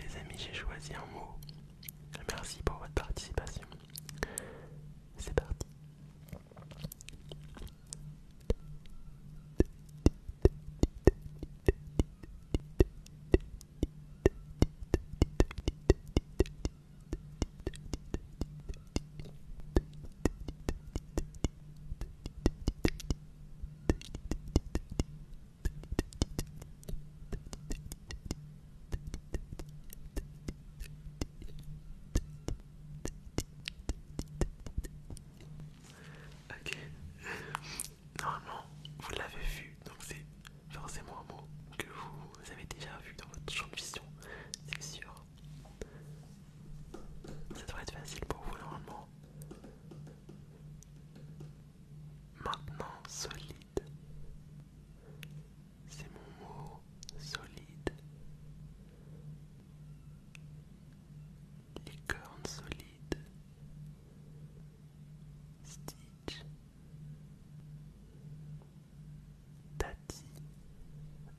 [SPEAKER 1] Les amis, j'ai choisi un mot. Merci pour votre participation. C'est parti. Ok, normalement vous l'avez vu, donc c'est forcément un mot que vous avez déjà vu dans votre champ de vision, c'est sûr. Ça devrait être facile pour vous normalement. Maintenant, solide. C'est mon mot, solide. Licorne solide. Stitch. Tati.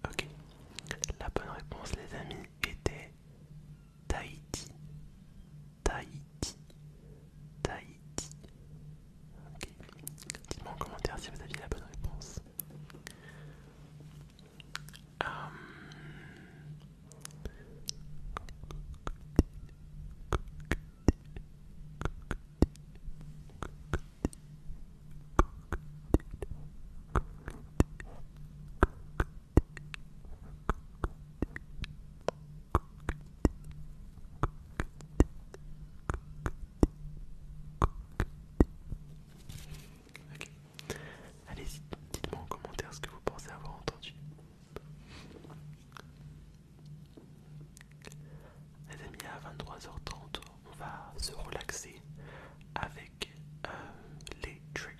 [SPEAKER 1] Ok. La bonne réponse, les amis, était Tahiti. Tahiti. Tahiti. Ok. Dites-moi en commentaire si vous aviez la bonne réponse. Euh, allez dites-moi en commentaire ce que vous pensez avoir entendu. Les amis, à 23h30, on va se relaxer avec euh, les triggers.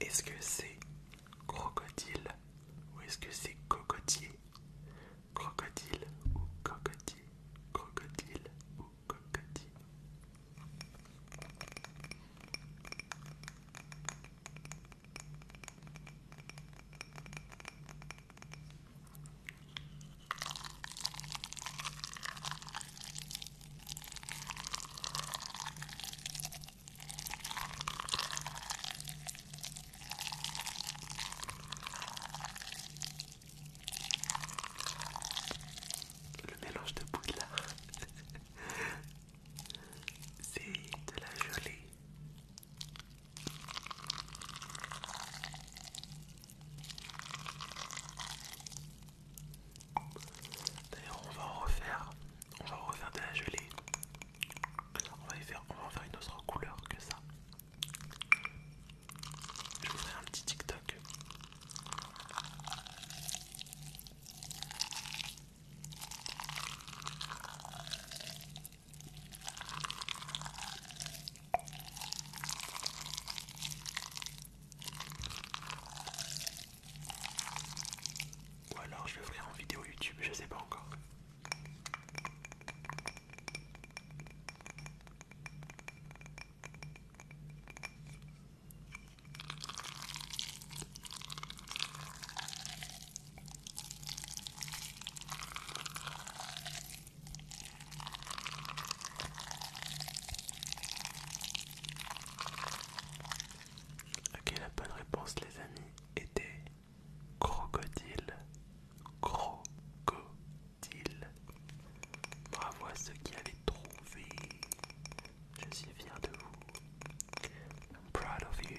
[SPEAKER 1] Est-ce que c'est crocodile ou est-ce que c'est cocotier Crocodile ou cocotier Crocodile ou cocotier
[SPEAKER 2] le mélange de là, c'est de la gelée
[SPEAKER 1] D'ailleurs on va en refaire, on va en refaire de la gelée. On va, y faire, on en faire une autre couleur que ça. Je vous ferai un petit TikTok. Ou alors je vais ouvrir en vidéo YouTube, je sais pas encore. Ok, la bonne réponse, les amis, était crocodile. Crocodile. Bravo à ceux qui allait trouvé. Je suis fier de vous. I'm proud of you.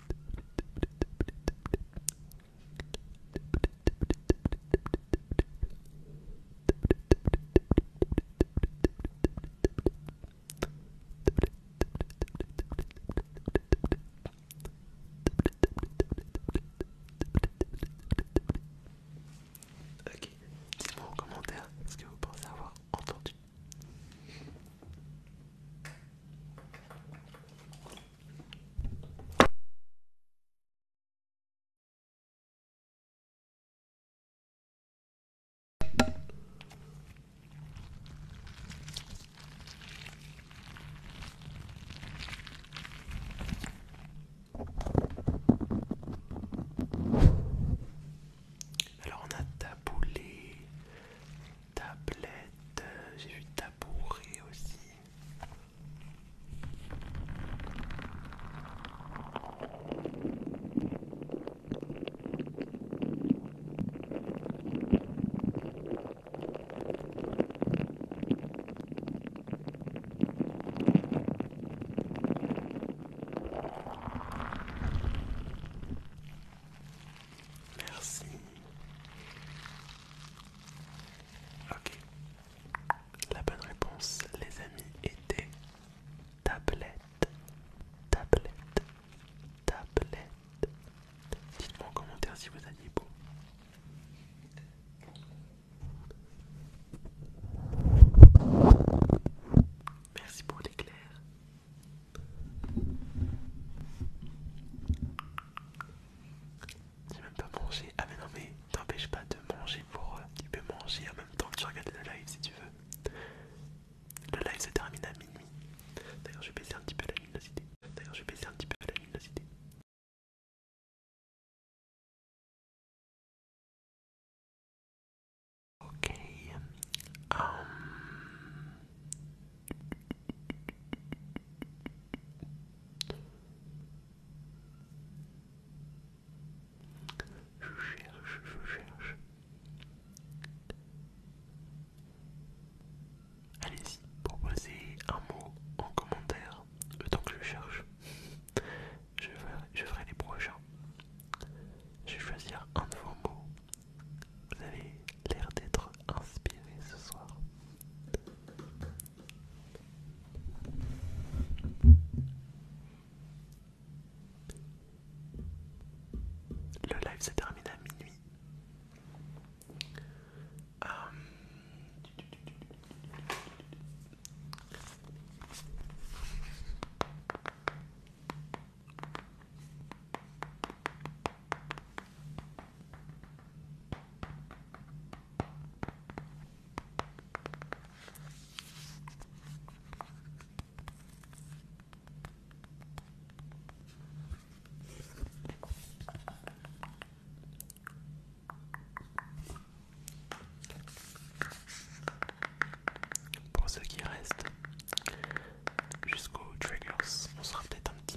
[SPEAKER 1] Ok, dites-moi en commentaire ce que vous pensez avoir entendu. Alors on a taboulé, tablette, euh, j'ai vu tabouret aussi. Merci. Ok. La bonne réponse, les amis, était tablette. Tablette. Tablette. Dites-moi en commentaire si vous aviez beau. Merci pour l'éclair. J'ai même pas mangé. Ah mais non mais t'empêche pas de manger pour... Euh, tu peux manger en même temps que tu regardes le live si tu veux. Le live se termine à minuit.
[SPEAKER 2] D'ailleurs je vais baisser un petit peu la luminosité. D'ailleurs je vais baisser un petit peu la luminosité. Ok. Um, je cherche, je cherche. Allez-y, proposez un mot en commentaire, le temps que je cherche. Je ferai, les prochains. Je vais choisir un de vos vous avez l'air d'être inspiré ce soir.
[SPEAKER 1] Le live se termine à minuit. Euh, pour ce qui reste jusqu'aux triggers, on sera peut-être un petit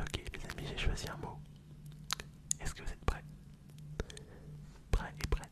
[SPEAKER 1] Ok les amis, j'ai choisi un mot. Est-ce que vous êtes prêts Prêts et prêtes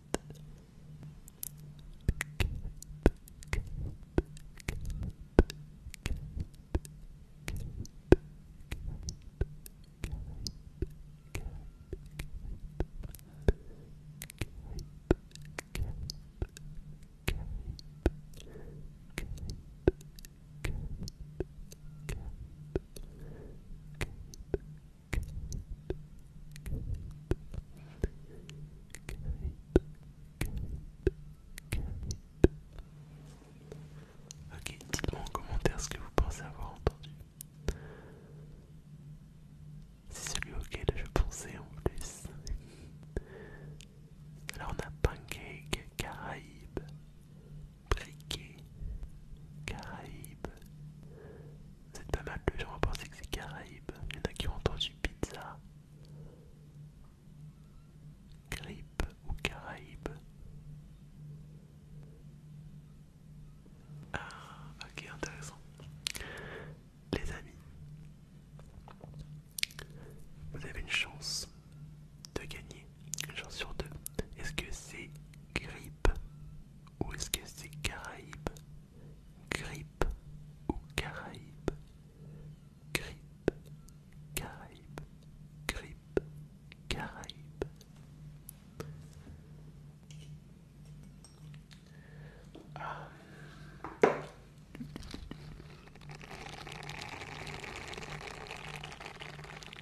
[SPEAKER 1] Ok, dites-moi en commentaire ce que vous pensez avoir entendu. C'est celui auquel je pensais en plus. Alors on a Pancake, Caraïbe, briquet, Caraïbes. C'est pas mal, plus gens vont que c'est Caraïbes. Il y en a qui ont entendu pizza. Grippe ou Caraïbes. Ah, ok, intéressant. Les amis, vous avez une chance de gagner genre sur deux. Est-ce que c'est grippe ou est-ce que c'est Caraïbe Grippe ou Caraïbe Grippe, Caraïbe, grippe, Caraïbe.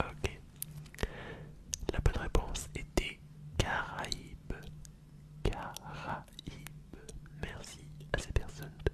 [SPEAKER 1] Ok. La bonne réponse était Caraïbes. Caraïbes. Merci à ces personnes de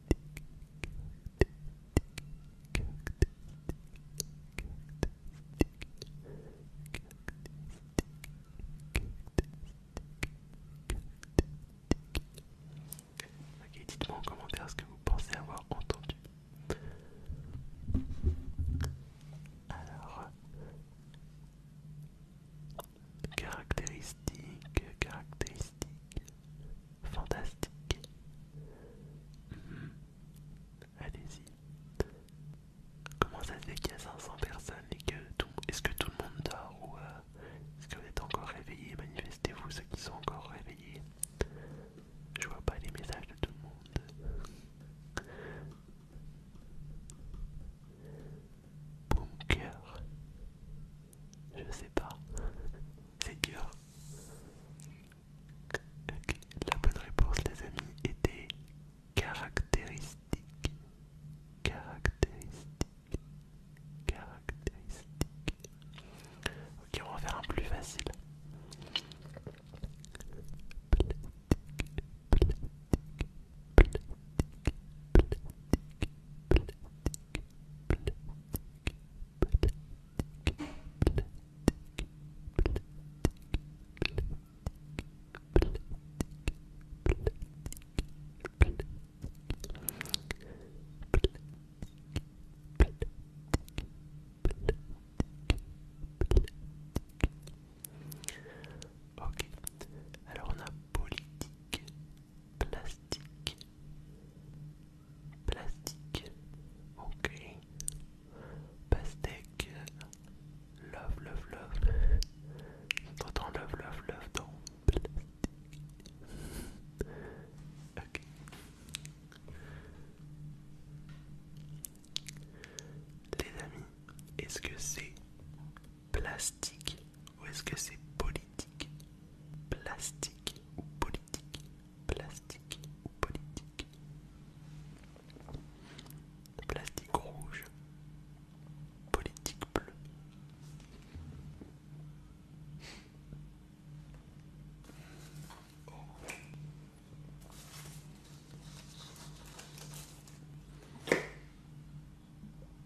[SPEAKER 1] Ok, dites-moi en commentaire ce que vous pensez avoir entendu. Alors, caractéristique, caractéristique fantastique. Mhm. Allez-y. Comment
[SPEAKER 2] ça se fait qu'il y a 500 personnes et que tout... Est-ce que tout le monde dort ou euh, est-ce que vous êtes encore réveillés Manifestez-vous
[SPEAKER 1] ceux qui sont encore réveillés. Je vois pas les messages de tout le monde. Bunker. Je sais pas. C'est dur. La bonne réponse, les amis, était caractéristique. Caractéristique. Caractéristique. Ok, on va faire un plus facile. Ok, alors on a politique, plastique, Plastique, ok. Pastèque, love, love, love. T'entends love, love, love dans plastique. Ok. Les amis, est-ce que c'est plastique ou est-ce que c'est politique plastique ou politique, plastique ou politique. Plastique rouge, politique bleue.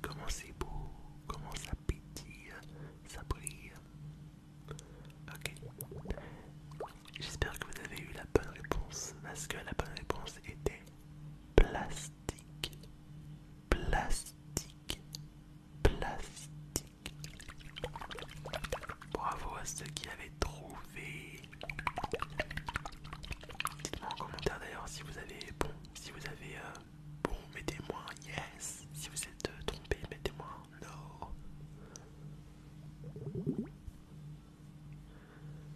[SPEAKER 1] comment c'est beau, comment ça pétille, ça brille. J'espère que vous avez eu la bonne réponse parce que la bonne réponse était plastique. Plastique. Plastique. Bravo à ceux qui avaient trouvé. Dites-moi en commentaire d'ailleurs si vous avez bon, si vous avez euh, bon, mettez-moi yes. Si vous êtes euh, trompé, mettez-moi no.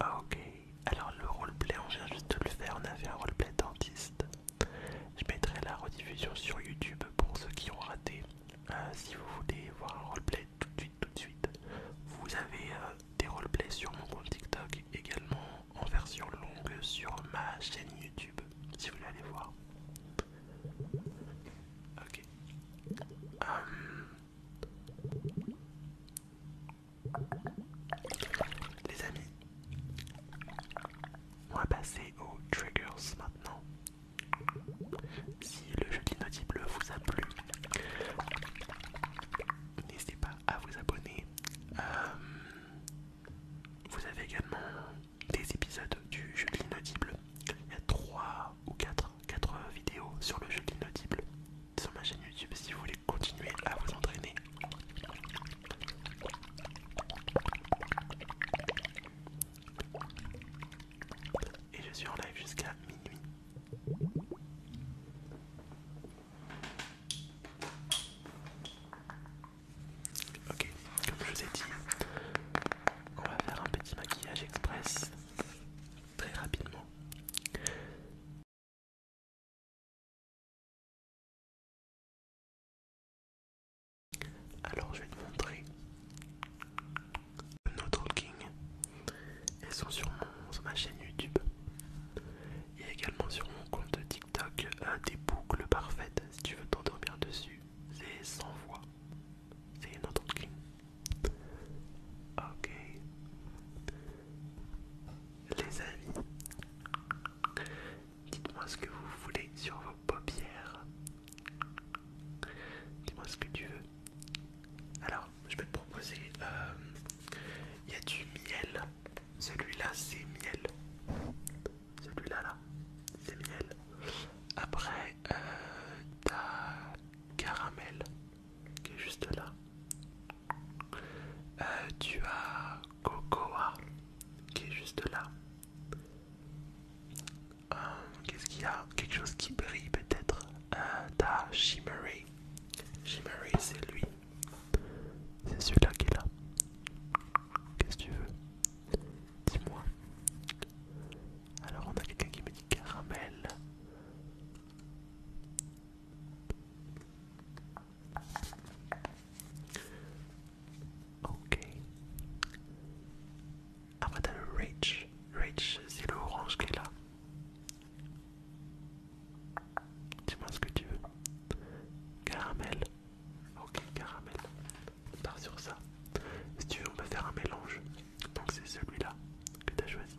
[SPEAKER 1] Ah, ok, alors le roleplay, on vient juste de le faire, on a fait un roleplay dentiste. Je mettrai la rediffusion sur YouTube pour ceux qui ont raté. Euh, si vous voulez voir un roleplay tout de suite, tout de suite. Vous avez euh, des roleplays sur mon compte TikTok également en version longue sur ma chaîne YouTube, si vous voulez aller voir. Ok. Hum. Les amis, on va passer aux triggers maintenant. Si le jeu d'inaudible vous a plu, n'hésitez pas à vous abonner. Hum. Vous avez également des épisodes du jeu de l'inaudible. Il y a 3 ou 4, vidéos sur le jeu de l'inaudible sur ma chaîne YouTube si vous voulez continuer à vous entraîner. Et je suis en live jusqu'à minuit. Ok,
[SPEAKER 2] comme je vous ai dit, on va faire un petit maquillage express très rapidement. Alors je vais te montrer nos talking. Elles sont sur ma chaîne
[SPEAKER 1] YouTube. Il y a également sur mon compte TikTok un des boucles parfaites. Si tu veux t'endormir dessus, c'est sans voix. C'est une autre clé. Ok. Les amis, dites-moi ce que vous voulez sur vos paupières. Dis-moi ce que tu veux. Alors, je vais te proposer. Il euh, y a du miel celui-là, c'est miel. Celui-là, là, c'est miel. Après, euh, t'as caramel qui est juste là. Euh, tu as cocoa qui est juste là. Euh, qu'est-ce qu'il y a Quelque chose qui brille peut-être. t'as shimmery. Shimmery, c'est lui. C'est celui-là qui est là. Qu'est-ce que tu veux Dis-moi. Alors on a quelqu'un qui me dit caramel. Ok. Après t'as le rich c'est l'orange qui est là. Dis-moi ce que tu veux. Caramel. Ok, caramel. On part sur ça. Si tu veux, on va faire un mélange. Donc c'est celui-là que tu as choisi.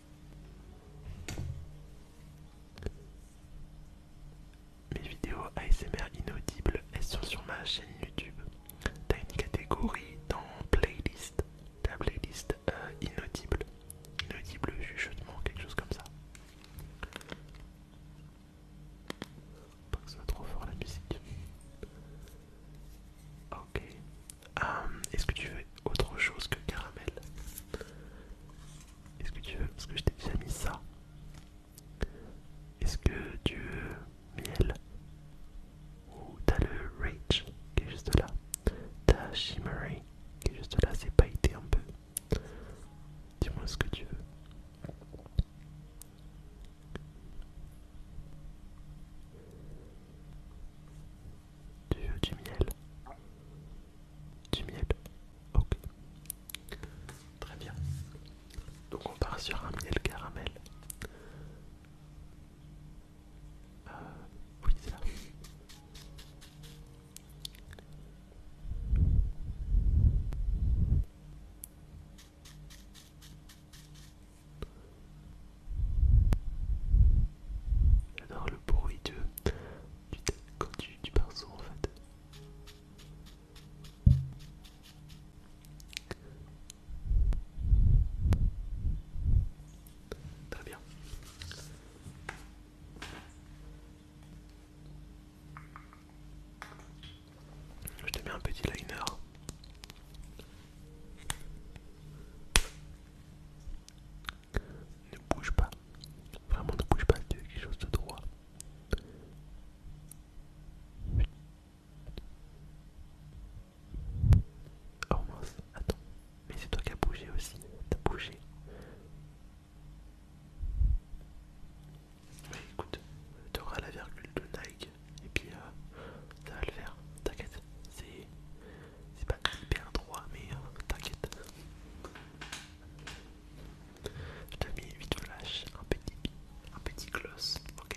[SPEAKER 1] Mes vidéos ASMR inaudibles, elles sont sur ma chaîne YouTube. T'as une catégorie dans playlist, ta playlist euh, inaudible, inaudible juchement, quelque chose comme ça. Pas que ça soit trop fort la musique. Ok. Euh, est-ce que tu veux autre chose que caramel. Est-ce que tu veux Parce que je t'ai déjà mis ça. Est-ce que tu veux miel Ou t'as le Rage qui est juste là. T'as Shimmery qui est juste là, c'est pailleté un peu. Dis-moi ce que tu veux du, du miel. Du miel. Ok. Très bien. Donc on part sur un miel caramel. Euh, oui, J'adore le bruit de quand tu pars en fait. Très bien. Je te mets un petit liner. Ne bouge pas. Vraiment ne bouge pas tu as quelque chose de droit. Oh attends. Mais c'est toi qui as bougé aussi. T'as bougé. Écoute, écoute, auras la virgule de Nike et puis euh, ça va le faire. T'inquiète, c'est pas hyper droit, mais euh, t'inquiète. Je t'ai mis huit flashs, un petit, un petit gloss, Ok.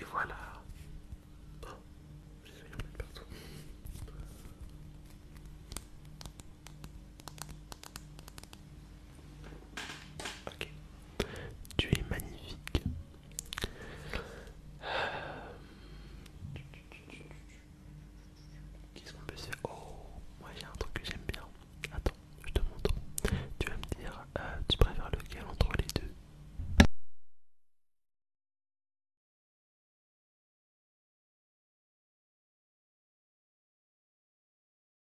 [SPEAKER 1] Et voilà. Oh, j'essaie d'en mettre partout. Ok. Tu es magnifique. Qu'est-ce qu'on peut se faire Oh, moi j'ai un truc que j'aime bien. Attends, je te montre. Tu vas me dire, euh, tu préfères lequel entre les deux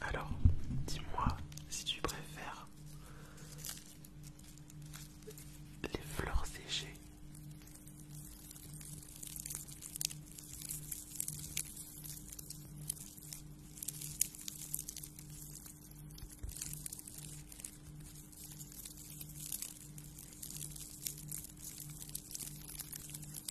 [SPEAKER 2] Alors, dis-moi si tu préfères
[SPEAKER 1] les fleurs séchées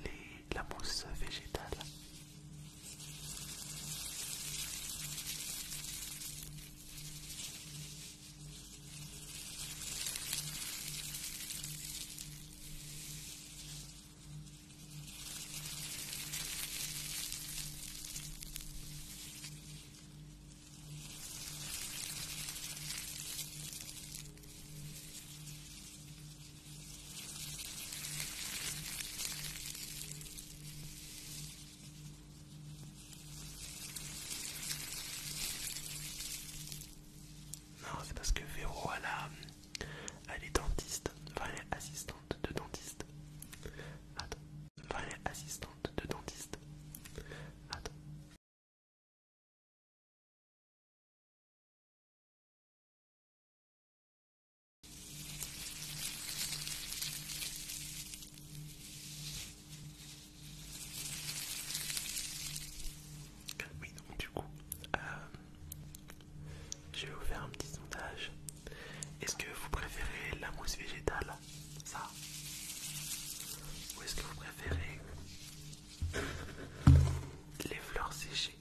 [SPEAKER 1] Les, la mousse végétale.
[SPEAKER 2] Non, c'est parce que Véro, elle, est dentiste, enfin elle assistante de dentiste. Attends, enfin assistante de dentiste. Attends, donc du coup, euh, je vais vous faire un petit sondage. Est-ce que vous préférez la mousse
[SPEAKER 1] végétale ça Ou est-ce que vous préférez les fleurs séchées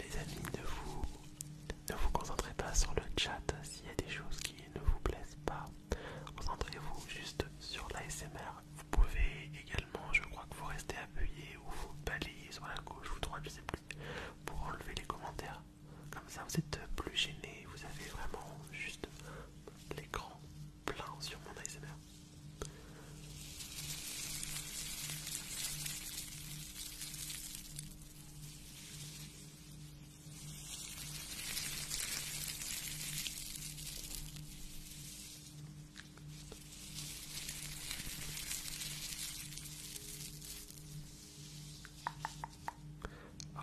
[SPEAKER 1] les amis, ne vous, ne vous concentrez pas sur le chat s'il y a des choses qui ne vous plaisent pas. Concentrez-vous juste sur l'ASMR. Vous pouvez également, je crois que vous restez appuyé ou vous balayez sur la gauche ou droite, je sais plus pour enlever les commentaires. Comme ça, vous êtes plus gêné, vous avez vraiment juste l'écran plein sur mon ASMR.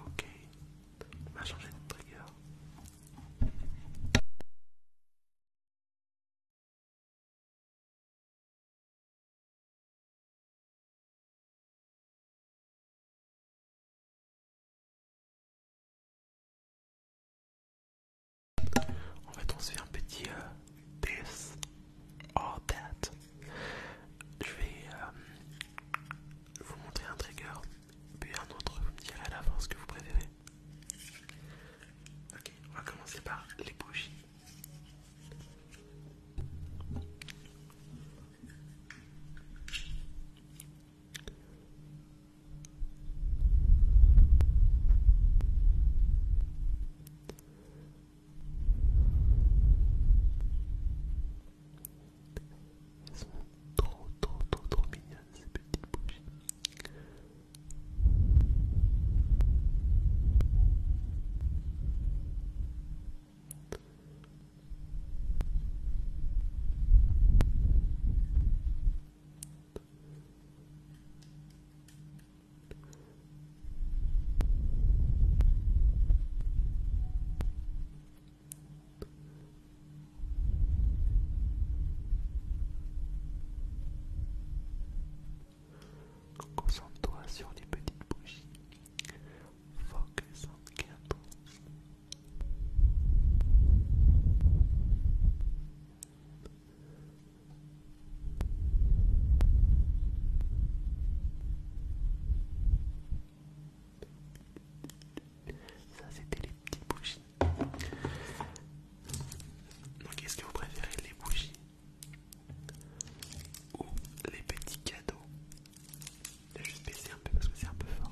[SPEAKER 2] Ok, on va changer de trigger. En fait, on se fait un petit euh, test. Oh, that. Je vais euh, vous montrer
[SPEAKER 1] un trigger, puis un autre, vous me direz à la fin ce que vous préférez. Ok, on va commencer par les bougies. Ils sont trop trop trop trop ces petits bougies. Concentre-toi sur les petites bougies. Focus on the candles. Ça, c'était les petites bougies. Donc, est-ce que vous préférez les bougies ou les petits cadeaux Je vais juste baisser un peu parce que c'est un peu fort.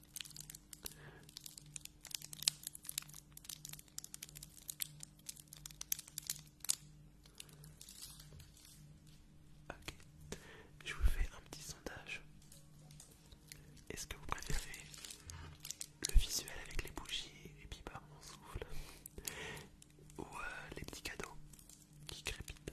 [SPEAKER 1] Ok, je vous fais un petit sondage. Est-ce que vous préférez le visuel avec les bougies et puis pas mon souffle ou euh, les petits cadeaux qui crépitent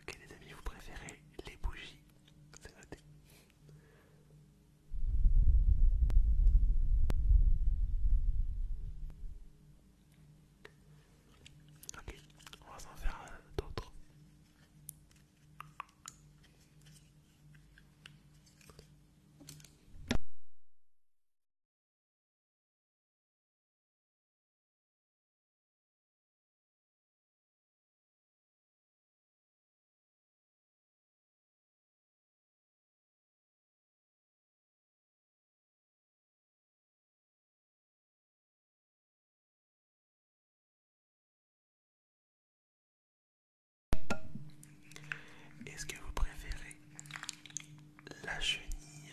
[SPEAKER 2] Ok ah, les amis, vous préférez les bougies, c'est noté. Ok, on va s'en faire d'autres. Est-ce que vous préférez la chenille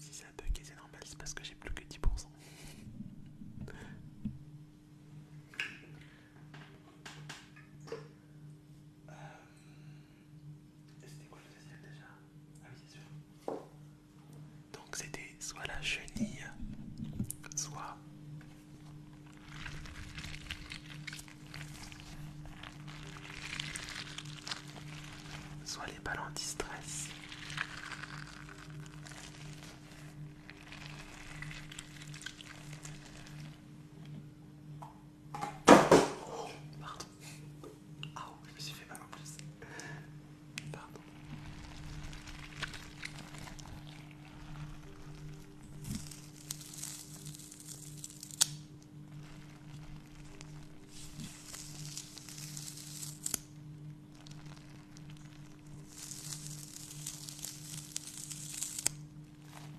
[SPEAKER 1] Si ça peu et c'est normal, c'est parce que j'ai plus que 10%. cent. Euh, c'était quoi le deuxième déjà Ah oui, c'est sûr. Donc c'était soit la chenille, soit... Soit les balles anti-stress. Pardon. Ah, je me suis fait mal en plus. Pardon.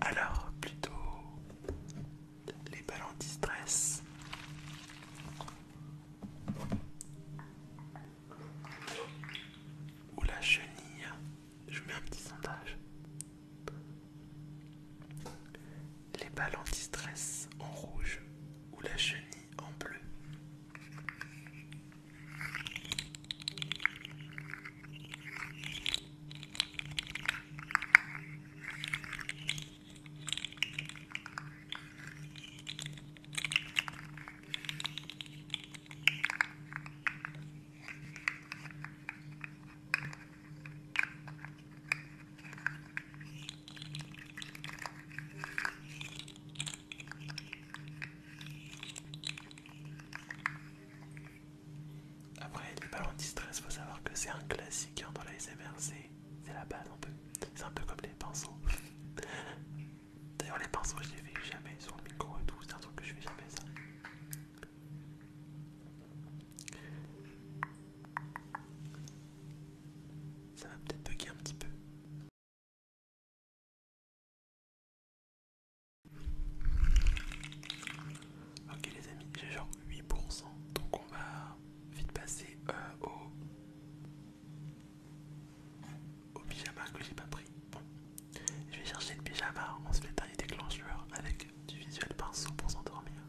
[SPEAKER 1] Alors plutôt les balles anti-stress. Ou la chenille. Je mets un petit sondage. Les balles anti-stress en rouge ou la chenille en bleu. Après ballon de distress, faut savoir que c'est un classique hein, dans la SMR, c'est la base un peu. C'est un peu comme les pinceaux. D'ailleurs les pinceaux je les fais jamais sur le micro et tout, c'est un truc que je fais jamais ça. Ça va peut-être bugger
[SPEAKER 2] un petit peu. Ok les amis, j'ai genre 8%, donc on va vite passer euh,
[SPEAKER 1] au... au pyjama que j'ai pas pris. Bon, je vais chercher le pyjama, on se fait le dernier déclencheur avec du visuel pinceau pour
[SPEAKER 2] s'endormir.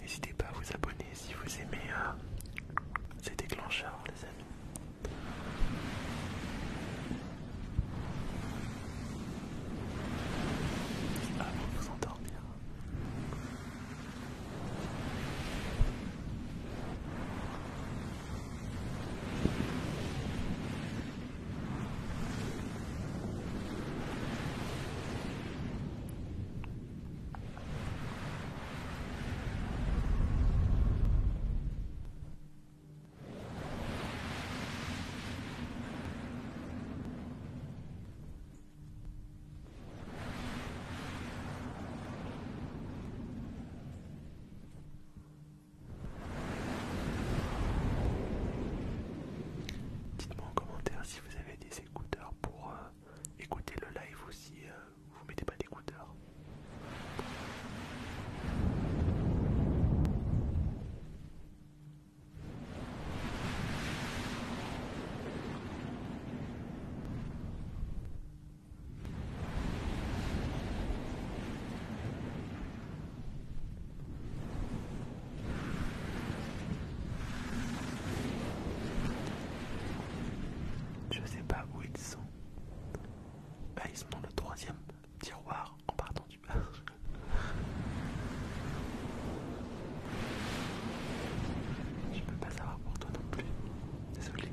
[SPEAKER 1] N'hésitez pas à vous abonner si vous aimez euh, ces déclencheurs, les amis. vous endormir. Dites-moi en commentaire si vous avez des écouteurs pour euh, écouter le live aussi euh, vous mettez pas d'écouteurs. Je sais pas où ils sont. Bah, ils sont dans le troisième tiroir en partant du bas. Je peux pas savoir pour toi non plus. Désolé.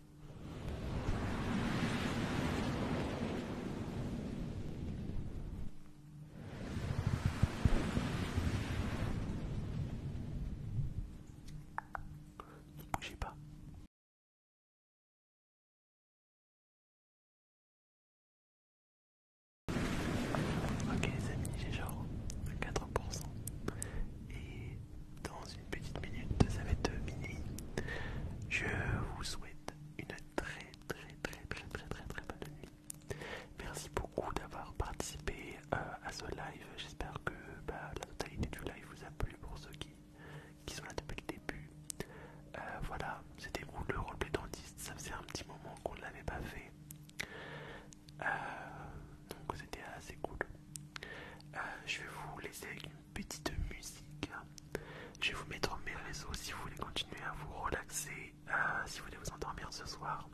[SPEAKER 1] Ne bougez pas. Ok les amis, j'ai genre 4% et dans une petite minute, ça va être minuit. Je vous souhaite une très très très très très très très bonne nuit. Merci beaucoup d'avoir participé euh, à ce live. J'espère que bah, la totalité du live vous a plu pour ceux qui, qui sont là depuis le début. Euh, voilà, c'était cool, le roleplay dentiste. Ça faisait un petit moment qu'on ne l'avait pas fait. Euh, donc c'était assez cool. je vais vous laisser petite musique. Je vais vous mettre mes réseaux si vous voulez continuer à vous relaxer, euh, si vous voulez vous endormir ce soir.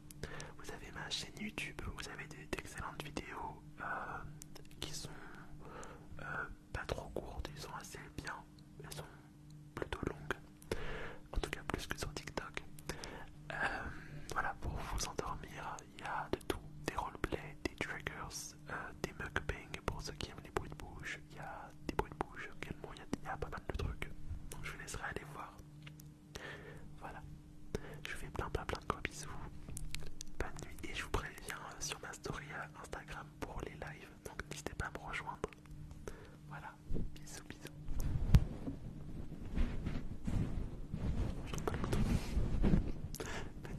[SPEAKER 1] Vous avez ma chaîne YouTube, vous avez d'excellentes vidéos euh, qui sont euh, pas trop courtes, elles sont assez bien, elles sont plutôt longues, en tout cas plus que sur TikTok. voilà, pour vous endormir, il y a de tout, des roleplays, des triggers, euh, des mukbangs pour ceux qui aiment les bruits de bouche. Il y a des bruits de bouche, il y, a pas mal de trucs. je vous laisserai aller voir. Voilà. Je vous fais plein plein plein de gros bisous. Bonne nuit et je vous préviens euh, sur ma story euh, Instagram pour les lives. Donc n'hésitez pas à me rejoindre. Voilà. Bisous bisous. nuit.